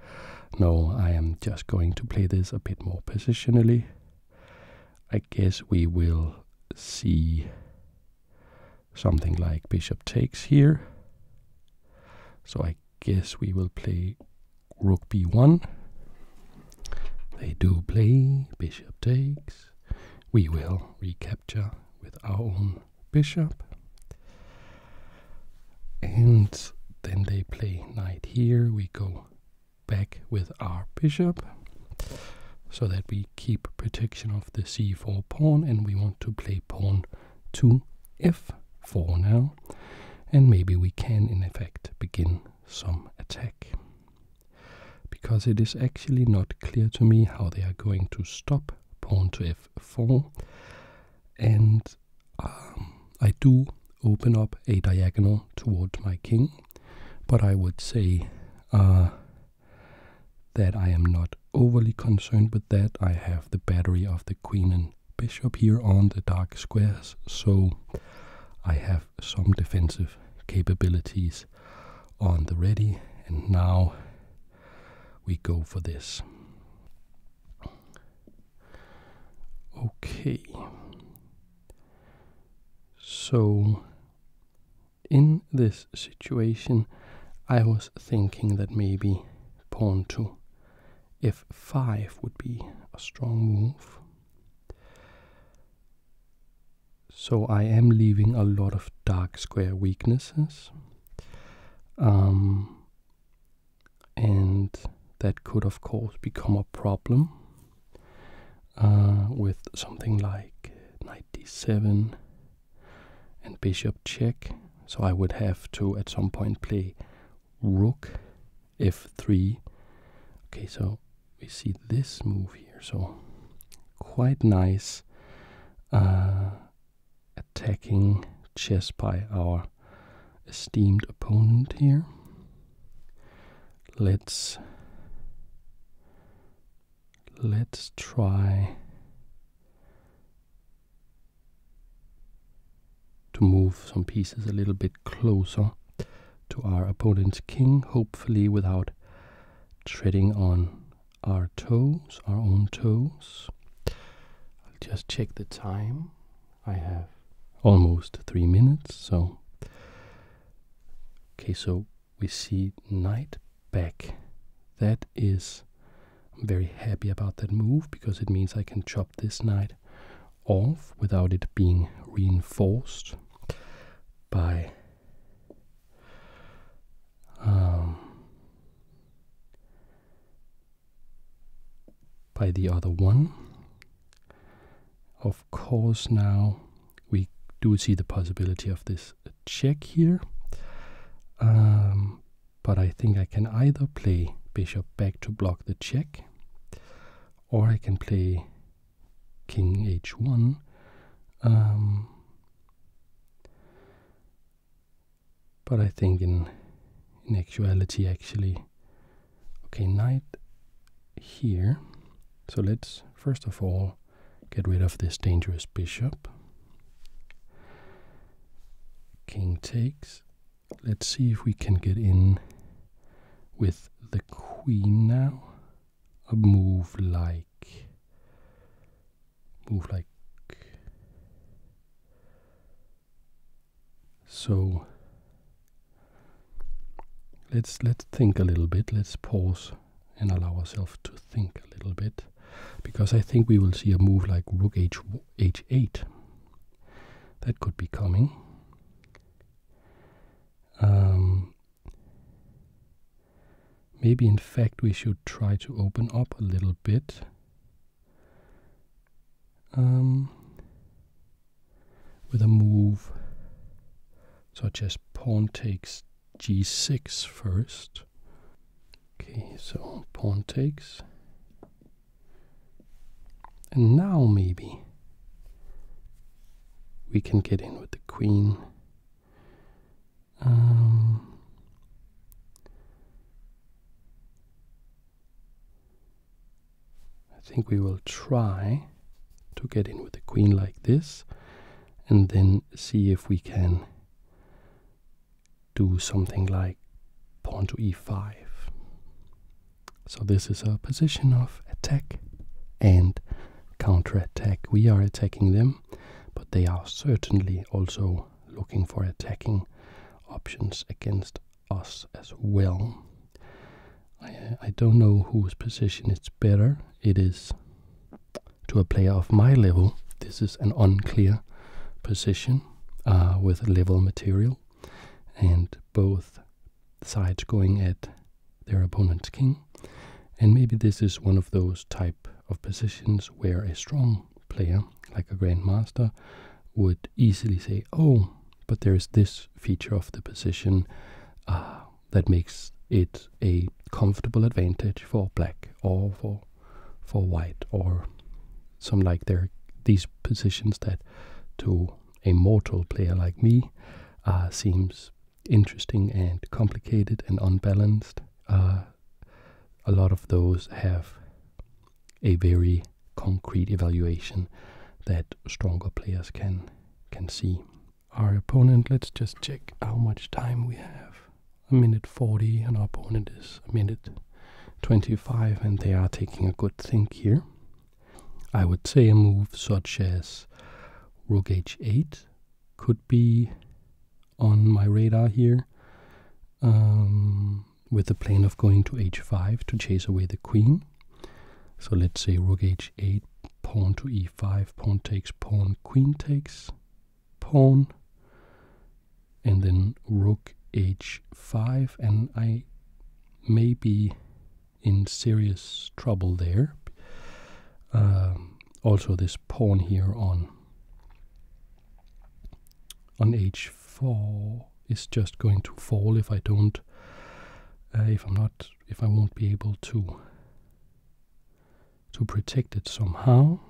no I am just going to play this a bit more positionally I guess we will see something like bishop takes here. So I guess we will play rook b1. They do play bishop takes. We will recapture with our own bishop. And then they play knight here. We go back with our bishop so that we keep protection of the c4 pawn and we want to play pawn to f4 now and maybe we can in effect begin some attack because it is actually not clear to me how they are going to stop pawn to f4 and um, I do open up a diagonal towards my king, but I would say uh, that I am not overly concerned with that. I have the battery of the queen and bishop here on the dark squares, so I have some defensive capabilities on the ready, and now we go for this. Okay. So, in this situation, I was thinking that maybe pawn two, if 5 would be a strong move. So, I am leaving a lot of dark square weaknesses. Um, and that could, of course, become a problem uh, with something like knight d7 and bishop check. So I would have to at some point play rook f3. Okay, so we see this move here. So quite nice uh, attacking chess by our esteemed opponent here let's let's try to move some pieces a little bit closer to our opponent's king, hopefully without treading on our toes, our own toes. I'll just check the time. I have almost three minutes, so. Okay, so we see knight back. That is. I'm very happy about that move because it means I can chop this knight off without it being reinforced by. Um, by the other one of of course now we do see the possibility of this check here. Um, but I think I can either play bishop back to block the check, or I can play king h1. Um, but I think in in actuality, actually, Okay, knight here. So let's first of all get rid of this dangerous bishop. King takes. Let's see if we can get in with the queen now. A move like. Move like. So let's let's think a little bit. Let's pause and allow ourselves to think a little bit, because I think we will see a move like Rook H H8. That could be coming. Um, maybe in fact we should try to open up a little bit. Um, with a move such as pawn takes g6 first. Okay, so pawn takes. And now maybe we can get in with the queen. Um, I think we will try to get in with the queen like this and then see if we can do something like pawn to e5. So this is a position of attack and counterattack. We are attacking them, but they are certainly also looking for attacking options against us as well. I don't know whose position is better. It is to a player of my level. This is an unclear position uh, with level material, and both sides going at their opponent's king. And maybe this is one of those type of positions where a strong player, like a grandmaster, would easily say, "Oh, but there is this feature of the position uh, that makes it a comfortable advantage for black or for for white or some like these positions that to a mortal player like me uh, seems interesting and complicated and unbalanced. Uh, a lot of those have a very concrete evaluation that stronger players can can see our opponent. Let's just check how much time we have. A minute 40 and our opponent is a minute 25 and they are taking a good think here. I would say a move such as rook h8 could be on my radar here um, with the plan of going to h5 to chase away the queen so let's say rook h8, pawn to e5, pawn takes, pawn, queen takes, pawn, and then rook h5, and I may be in serious trouble there. Um, also, this pawn here on on h4 is just going to fall if I don't, uh, if I'm not if I won't be able to to protect it somehow.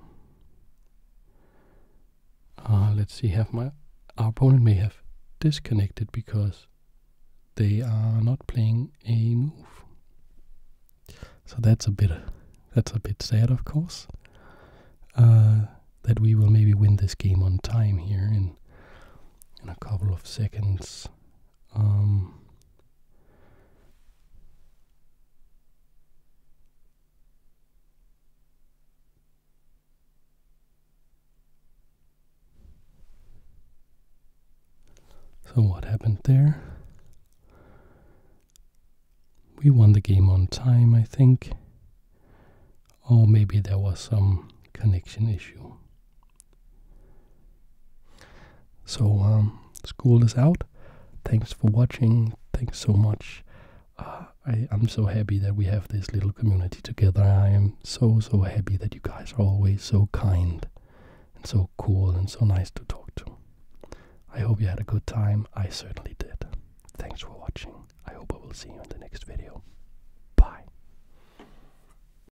Uh, let's see, have my our opponent may have disconnected because they are not playing a move. So that's a bit that's a bit sad, of course. Uh, that we will maybe win this game on time here in in a couple of seconds. Um, so what happened there? We won the game on time, I think. Or maybe there was some connection issue. So, um, school is out. Thanks for watching. Thanks so much. Uh, I'm so happy that we have this little community together. I am so, so happy that you guys are always so kind and so cool and so nice to talk to. I hope you had a good time. I certainly did. Thanks for watching. I hope I will see you in the next video. Bye.